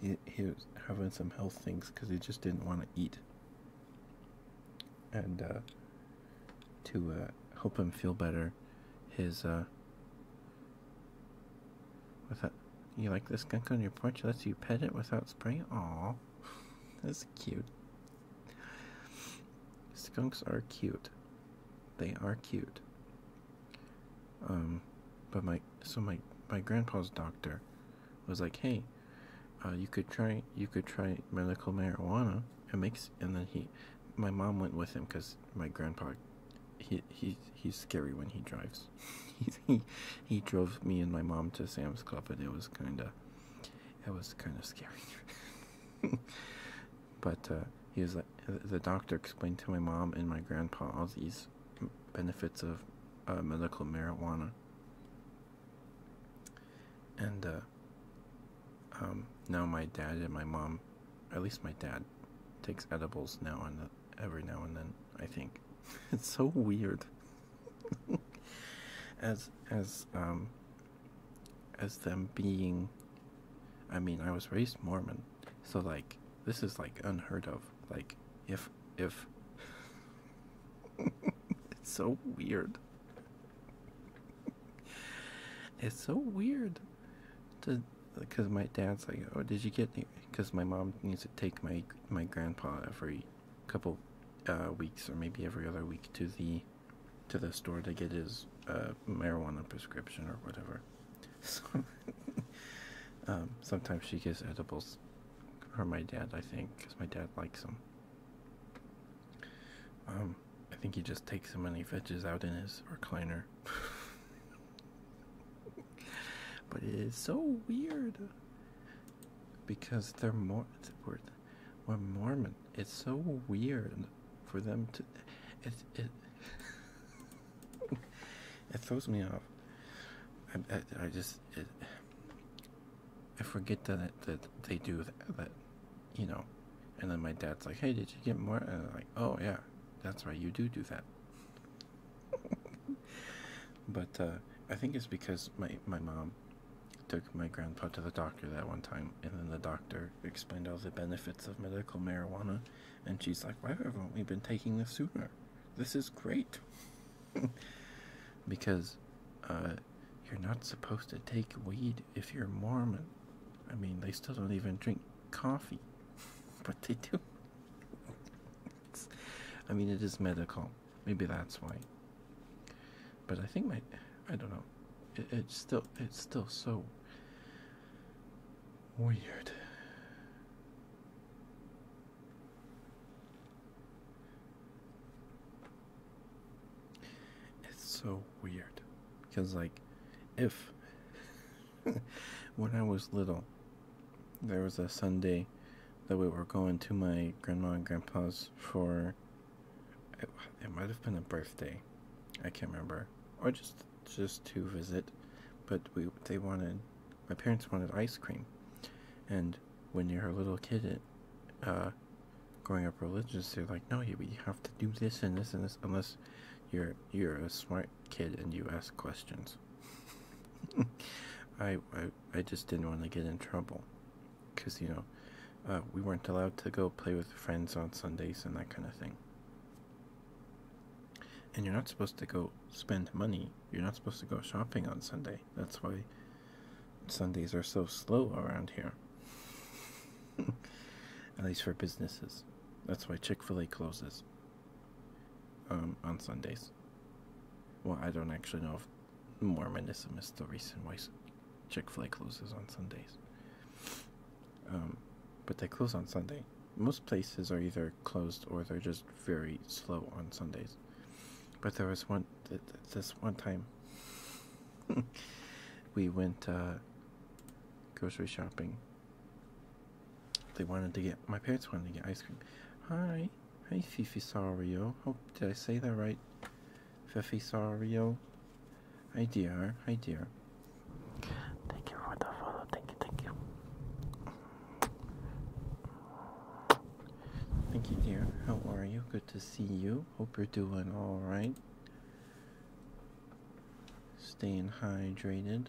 B: he, was having some health things because he just didn't want to eat. And uh, to uh, help him feel better, his uh, Without you like this skunk on your porch lets you pet it without spraying. Aw, <laughs> that's cute. Skunks are cute. They are cute. Um, but my so my my grandpa's doctor was like, hey, uh, you could try you could try medical marijuana. It makes and then he my mom went with him because my grandpa he he he's scary when he drives <laughs> he he drove me and my mom to sam's club and it was kind of it was kind of scary <laughs> but uh, he was like the doctor explained to my mom and my grandpa all these benefits of uh, medical marijuana and uh, um, now my dad and my mom at least my dad takes edibles now and every now and then. I think <laughs> it's so weird. <laughs> as as um as them being, I mean, I was raised Mormon, so like this is like unheard of. Like if if <laughs> it's so weird. It's so weird because my dad's like, oh, did you get? Because my mom needs to take my my grandpa every couple uh, weeks or maybe every other week to the to the store to get his uh, marijuana prescription or whatever. <laughs> So um, sometimes she gets edibles for my dad, I think, because my dad likes them. Um, I think he just takes them and he fetches out in his recliner. <laughs> but it is so weird because they're more It's are we're Mormon. It's so weird for them to it it <laughs> it throws me off. I, I, just I forget that that they do that, you know, and then my dad's like, "Hey, did you get more?" And I'm like, "Oh yeah, that's why you do do that." <laughs> but uh, I think it's because my my mom took my grandpa to the doctor that one time, and then the doctor explained all the benefits of medical marijuana, and she's like, "Why haven't we been taking this sooner? This is great." <laughs> because uh, you're not supposed to take weed if you're Mormon. I mean, they still don't even drink coffee, <laughs> but they do. I mean, it is medical. Maybe that's why. But I think my, I don't know. it's still, it's still so weird. It's so weird because, like, if <laughs> when I was little, there was a Sunday that we were going to my grandma and grandpa's for. It, might have been a birthday, I can't remember, or just just to visit, but we they wanted my parents wanted ice cream, and when you're a little kid, uh, growing up religious, they're like, no, you, you have to do this and this and this unless you're you're a smart kid and you ask questions. <laughs> I, I I just didn't want to get in trouble, cause you know, uh, we weren't allowed to go play with friends on Sundays and that kind of thing. And you're not supposed to go spend money. You're not supposed to go shopping on Sunday. That's why Sundays are so slow around here. <laughs> At least for businesses. That's why Chick fil A closes um, on Sundays. Well, I don't actually know if Mormonism is the reason why Chick fil A closes on Sundays. Um, but they close on Sunday. Most places are either closed or they're just very slow on Sundays. But there was one, this one time, <laughs> we went uh, grocery shopping they wanted to get my parents wanted to get ice cream. Hi, hi, Fifisario. Hope oh, did I say that right? Fifi Fifisario. Hi dear, hi dear. Thank you for the follow. Thank you, thank you. Thank you, dear. How are you? Good to see you. Hope you're doing all right. Staying hydrated.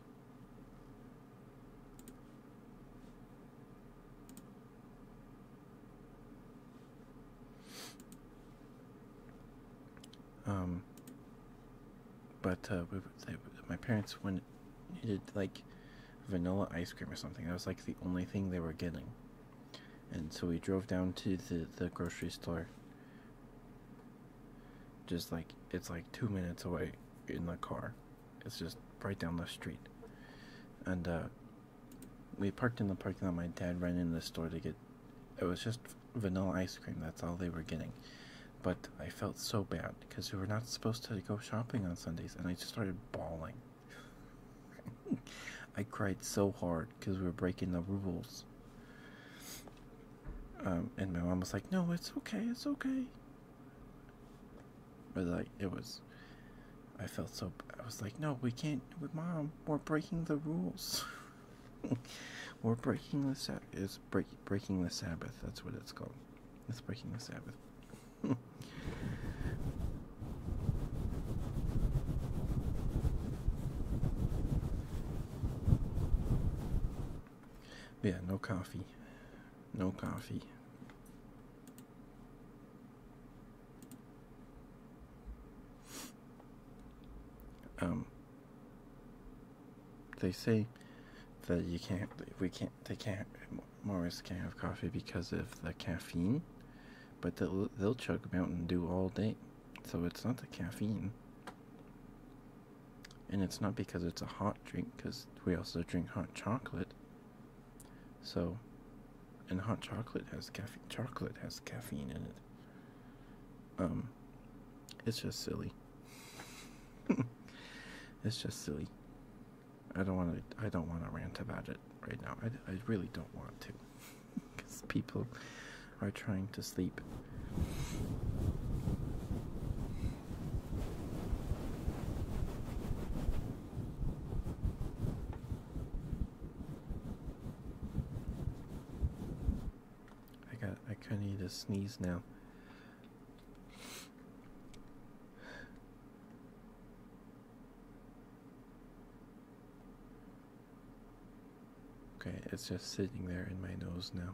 B: Um, but uh, my parents when needed like vanilla ice cream or something. That was like the only thing they were getting. And so we drove down to the, the grocery store just like it's like two minutes away in the car it's just right down the street and uh, we parked in the parking lot my dad ran into the store to get it was just vanilla ice cream that's all they were getting but i felt so bad because we were not supposed to go shopping on sundays and i just started bawling <laughs> i cried so hard because we were breaking the rules um, and my mom was like no it's okay it's okay but like it was, I felt so. I was like, no, we can't. Mom, we're breaking the rules. <laughs> we're breaking the Sabbath. It's break, breaking the Sabbath. That's what it's called. It's breaking the Sabbath. <laughs> yeah, no coffee. No coffee. Um they say that you can't we can't they can't Morris can't have coffee because of the caffeine, but they'll they'll chug Mountain Dew all day, so it's not the caffeine. And it's not because it's a hot drink, because we also drink hot chocolate. So, and hot chocolate has caffeine. Chocolate has caffeine in it. Um, it's just silly. <laughs> it's just silly. I don't want to. I don't want to rant about it right now. I, I really don't want to, because <laughs> people are trying to sleep. I got I kind of need to sneeze now. Okay, it's just sitting there in my nose now.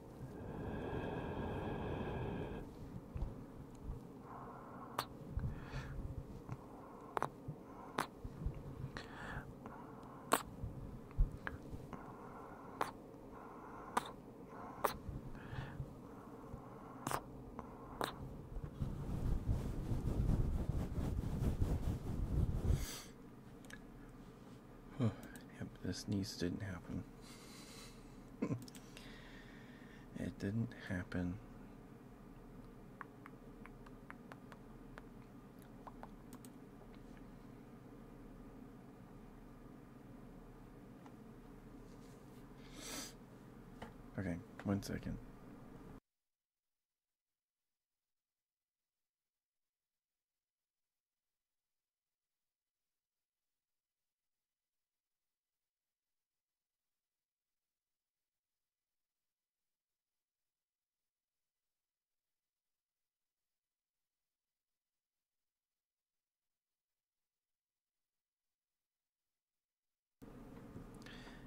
B: yep, this needs didn't happen it didn't happen.
C: Okay, one second.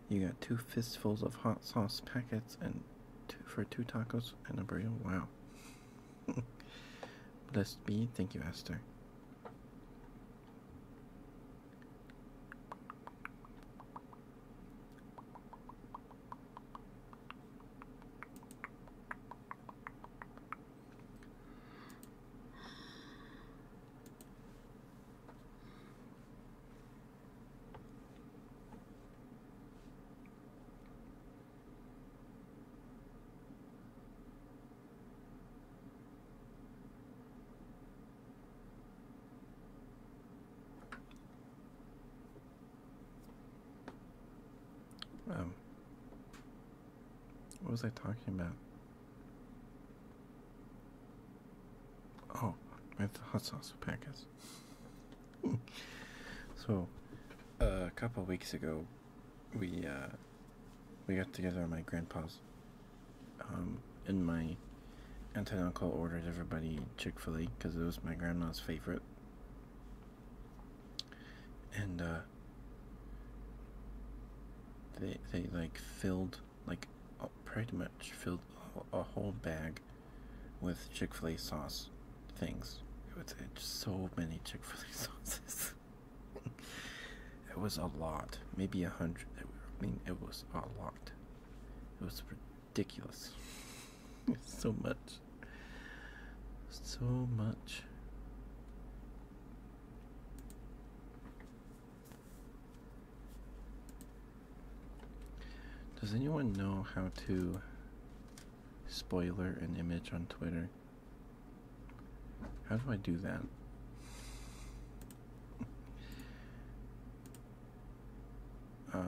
B: You got two fistfuls of hot sauce packets and two for two tacos and a burrito. Wow. Blessed be. Thank you, Esther. Um, what was I talking about? Oh, with hot sauce packets. <laughs> so, uh, a couple weeks ago, we uh, we got together at my grandpa's. Um, and my aunt and uncle ordered everybody Chick Fil A because it was my grandma's favorite. And uh, they they like filled like pretty much filled a whole bag with Chick Fil A sauce things. It's, it's so many Chick Fil A <laughs> sauces it was a lot, maybe a hundred. I mean, it was a lot. It was ridiculous. <laughs> so much. So much. Does anyone know how to spoiler an image on Twitter? How do I do that? Uh,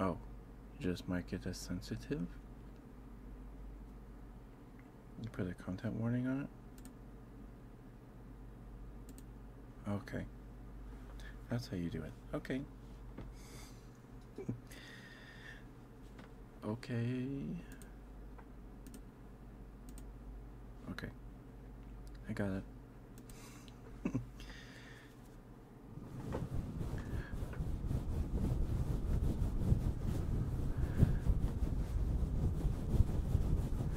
B: oh, just make it as sensitive. You put a content warning on it? Okay. That's how you do it. Okay. <laughs> okay. Okay. I got it. <laughs>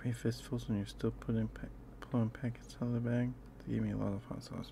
B: Three fistfuls and you're still putting pack, pulling packets out of the bag? They gave me a lot of hot sauce.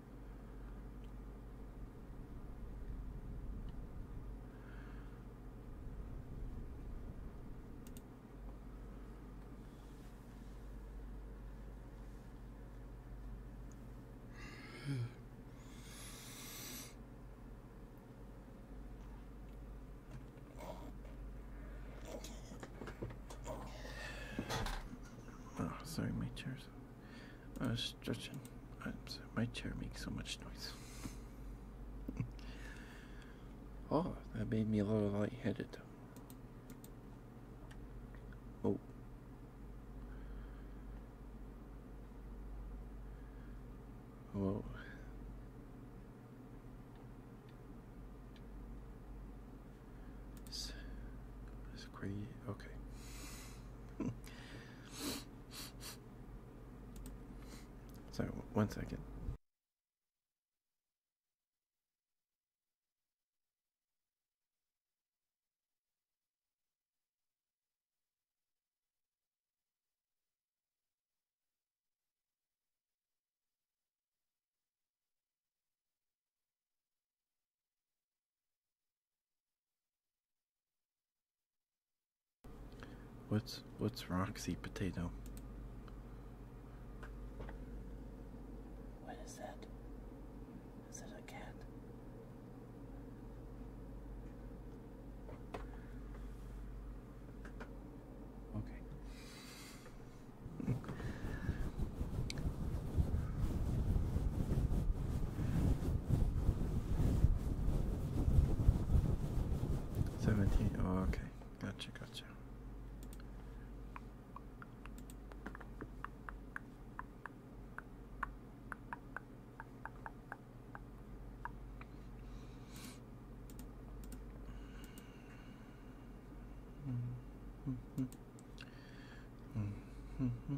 B: Oh, sorry, my chair's. I uh, was stretching. Uh, my chair makes so much noise. <laughs> oh, that made me a little lightheaded. Oh. Whoa. It's, it's crazy. Okay. <laughs>
C: So, one second.
B: What's what's Roxy potato?
C: What is that? Is it a cat? Okay.
B: Seventeen. Oh, okay. Gotcha. Gotcha.
D: Mm
A: -hmm. Mm -hmm.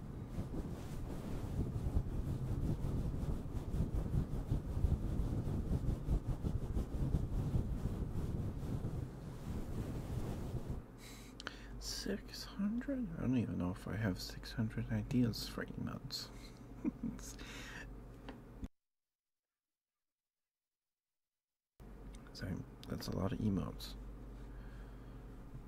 C: Six hundred?
B: I don't even know if I have six hundred ideas for emotes. <laughs> so that's a lot of emotes.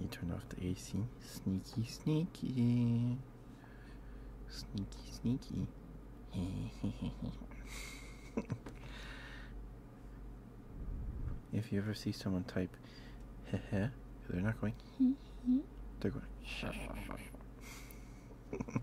B: You turned off the AC. Sneaky, sneaky. Sneaky, sneaky. <laughs> if you ever see someone type, heh heh, they're not going, they're going, <laughs>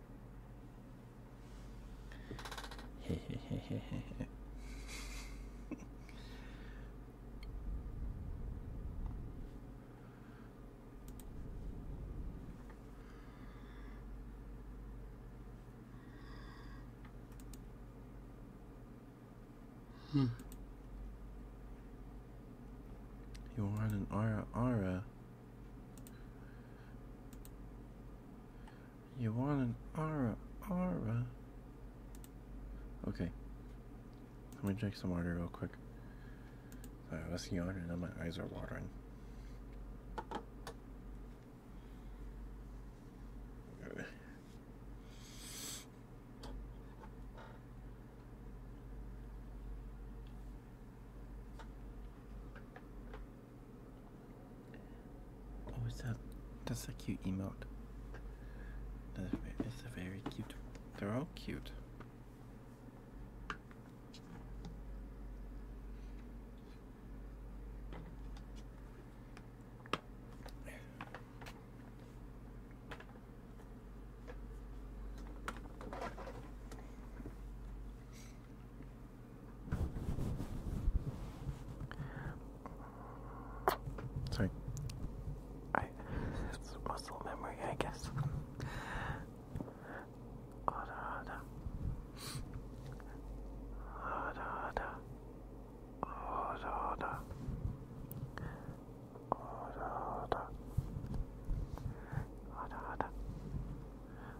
B: hmm. You are an aura aura you want an ara ara? Okay. Let me drink some water real quick. Sorry, I was yawning and now my eyes are watering. Oh, is that? That's a cute emote. That's a very cute. They're all cute.
C: Sorry. I it's muscle memory, I guess. Ada ada. Ada ada. Ada ada. Ada ada. Ada ada.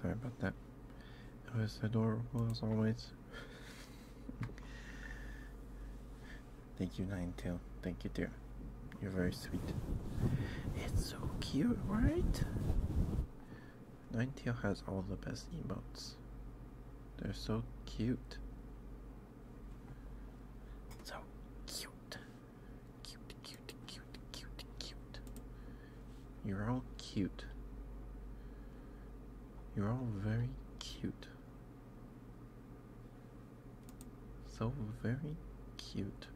C: Sorry about that.
B: It was adorable as always. Thank you, Nine Tail. Thank you, dear. You're very sweet. It's so
C: cute, right?
B: Nine Tail has all the best emotes. They're so cute.
C: So cute. Cute, cute,
B: cute, cute, cute. You're all cute. You're all very cute. So very cute.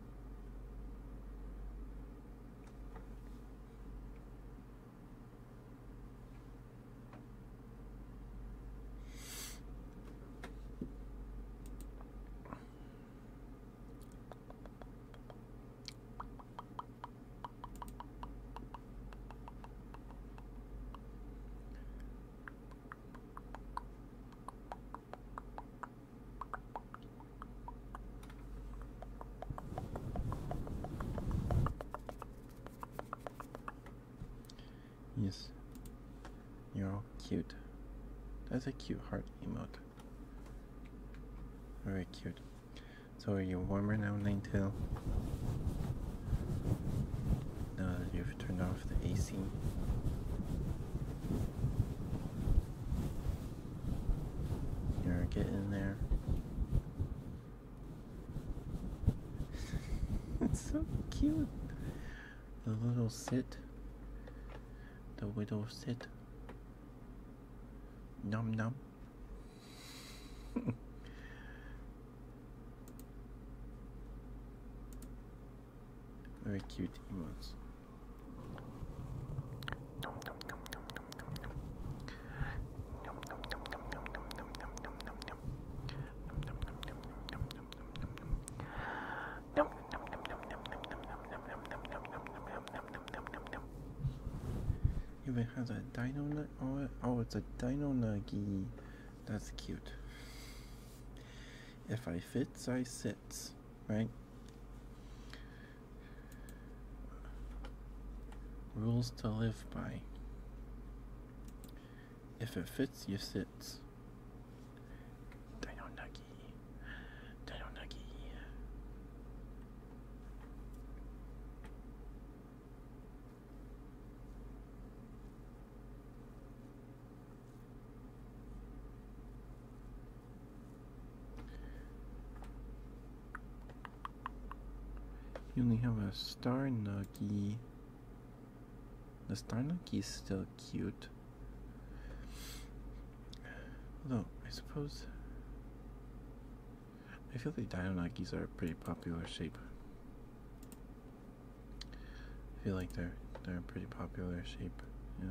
B: Yes, you're all cute. That's a cute heart emote. Very cute. So are you warmer now, Ninetale? Now that you've turned off the AC? You're getting there.
D: <laughs> it's so cute.
B: The little sit. The widow sit. Num num. Very cute emotes. Even has a dino nugget. Oh, oh, dino nuggy. That's cute. If I fits, I sits, right? Rules to live by. If it fits, you sits. Dino nuggy. Taronagi. You only have a star nuggy. The star nuggy is still cute. Although, I suppose. I feel like Dionagis are a pretty popular shape. I feel like they're they're a pretty popular shape, yeah.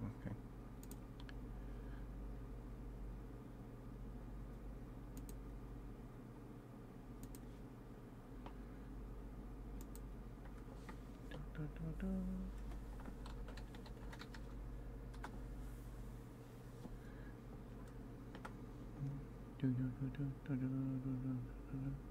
A: Okay. Da, da, da, do do do do do do do do do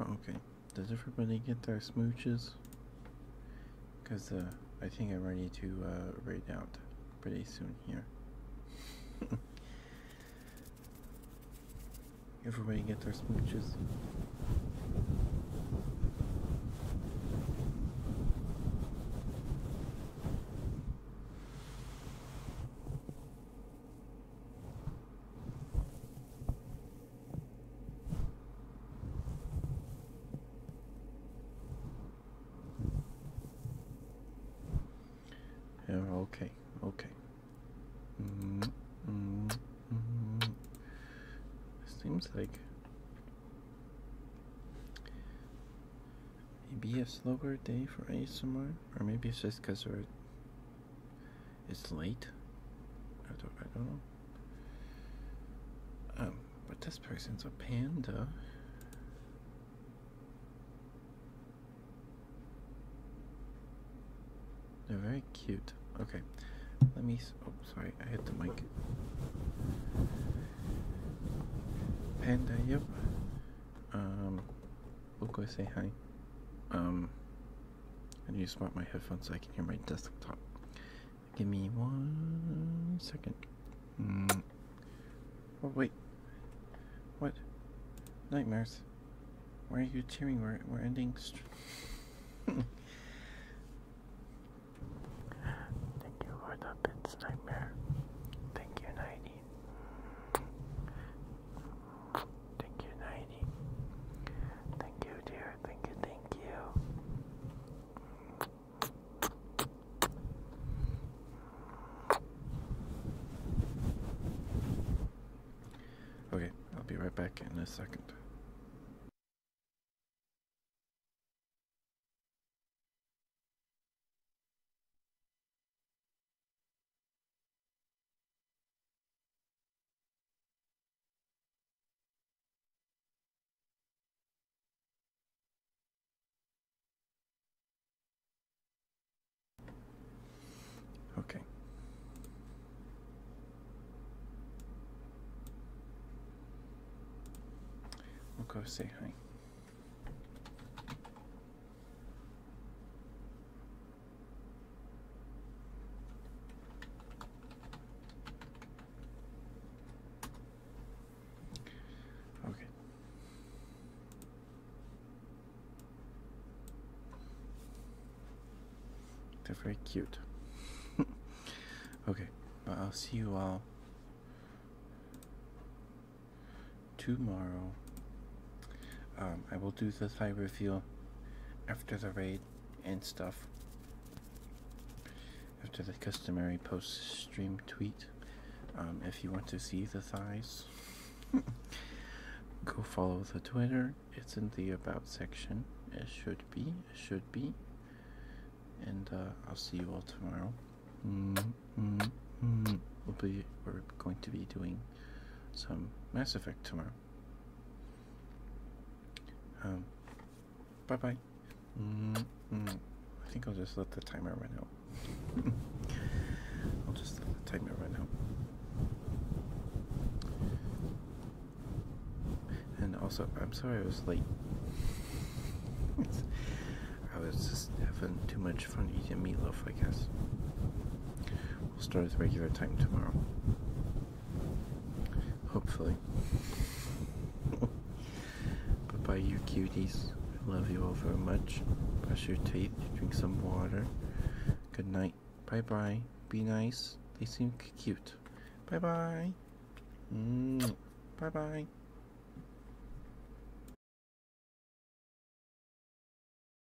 B: Oh, okay, does everybody get their smooches? Because uh, I think I'm ready to uh, raid out pretty soon here. <laughs> everybody get their smooches. Yeah, okay, okay. Mm -hmm, mm -hmm. Seems like maybe a slower day for ASMR, or maybe it's just because we're it's late. I don't, I don't know. Um, but this person's a panda. They're very cute. Okay, let me. Oh, sorry, I hit the mic. Panda, yep. Um, We'll go say hi. Um, I need to swap my headphones so I can hear my desktop. Give me one second. Mm. Oh, wait. What? Nightmares. Why are you cheering? We're, we're ending. <laughs> Thank you for the bits, Nightmare. Thank you, Night Thank you, 90.
C: Thank you, dear. Thank you, thank you. Okay, I'll be right back in a second.
B: Okay. We'll go say hi. Okay. They're very cute. <laughs> okay, but I'll see you all tomorrow. Um, I will do the thigh reveal after the raid and stuff. After the customary post stream tweet. Um, if you want to see the thighs, <laughs> go follow the Twitter. It's in the About section. It should be. It should be. And uh, I'll see you all tomorrow. Mm -hmm. -hmm. we we're going to be doing some Mass Effect tomorrow. Um, bye bye. Mm -hmm. I think I'll just let the timer run out. <laughs> I'll just let the timer run out. And also, I'm sorry I was late. <laughs> I was just having too much fun eating meatloaf, I guess. We'll start with regular time tomorrow. Hopefully. but <laughs> bye, you cuties. I love you all very much. Brush your teeth, drink some water. Good night. Bye bye. Be nice. They seem cute. Bye bye.
D: Mm. Bye bye.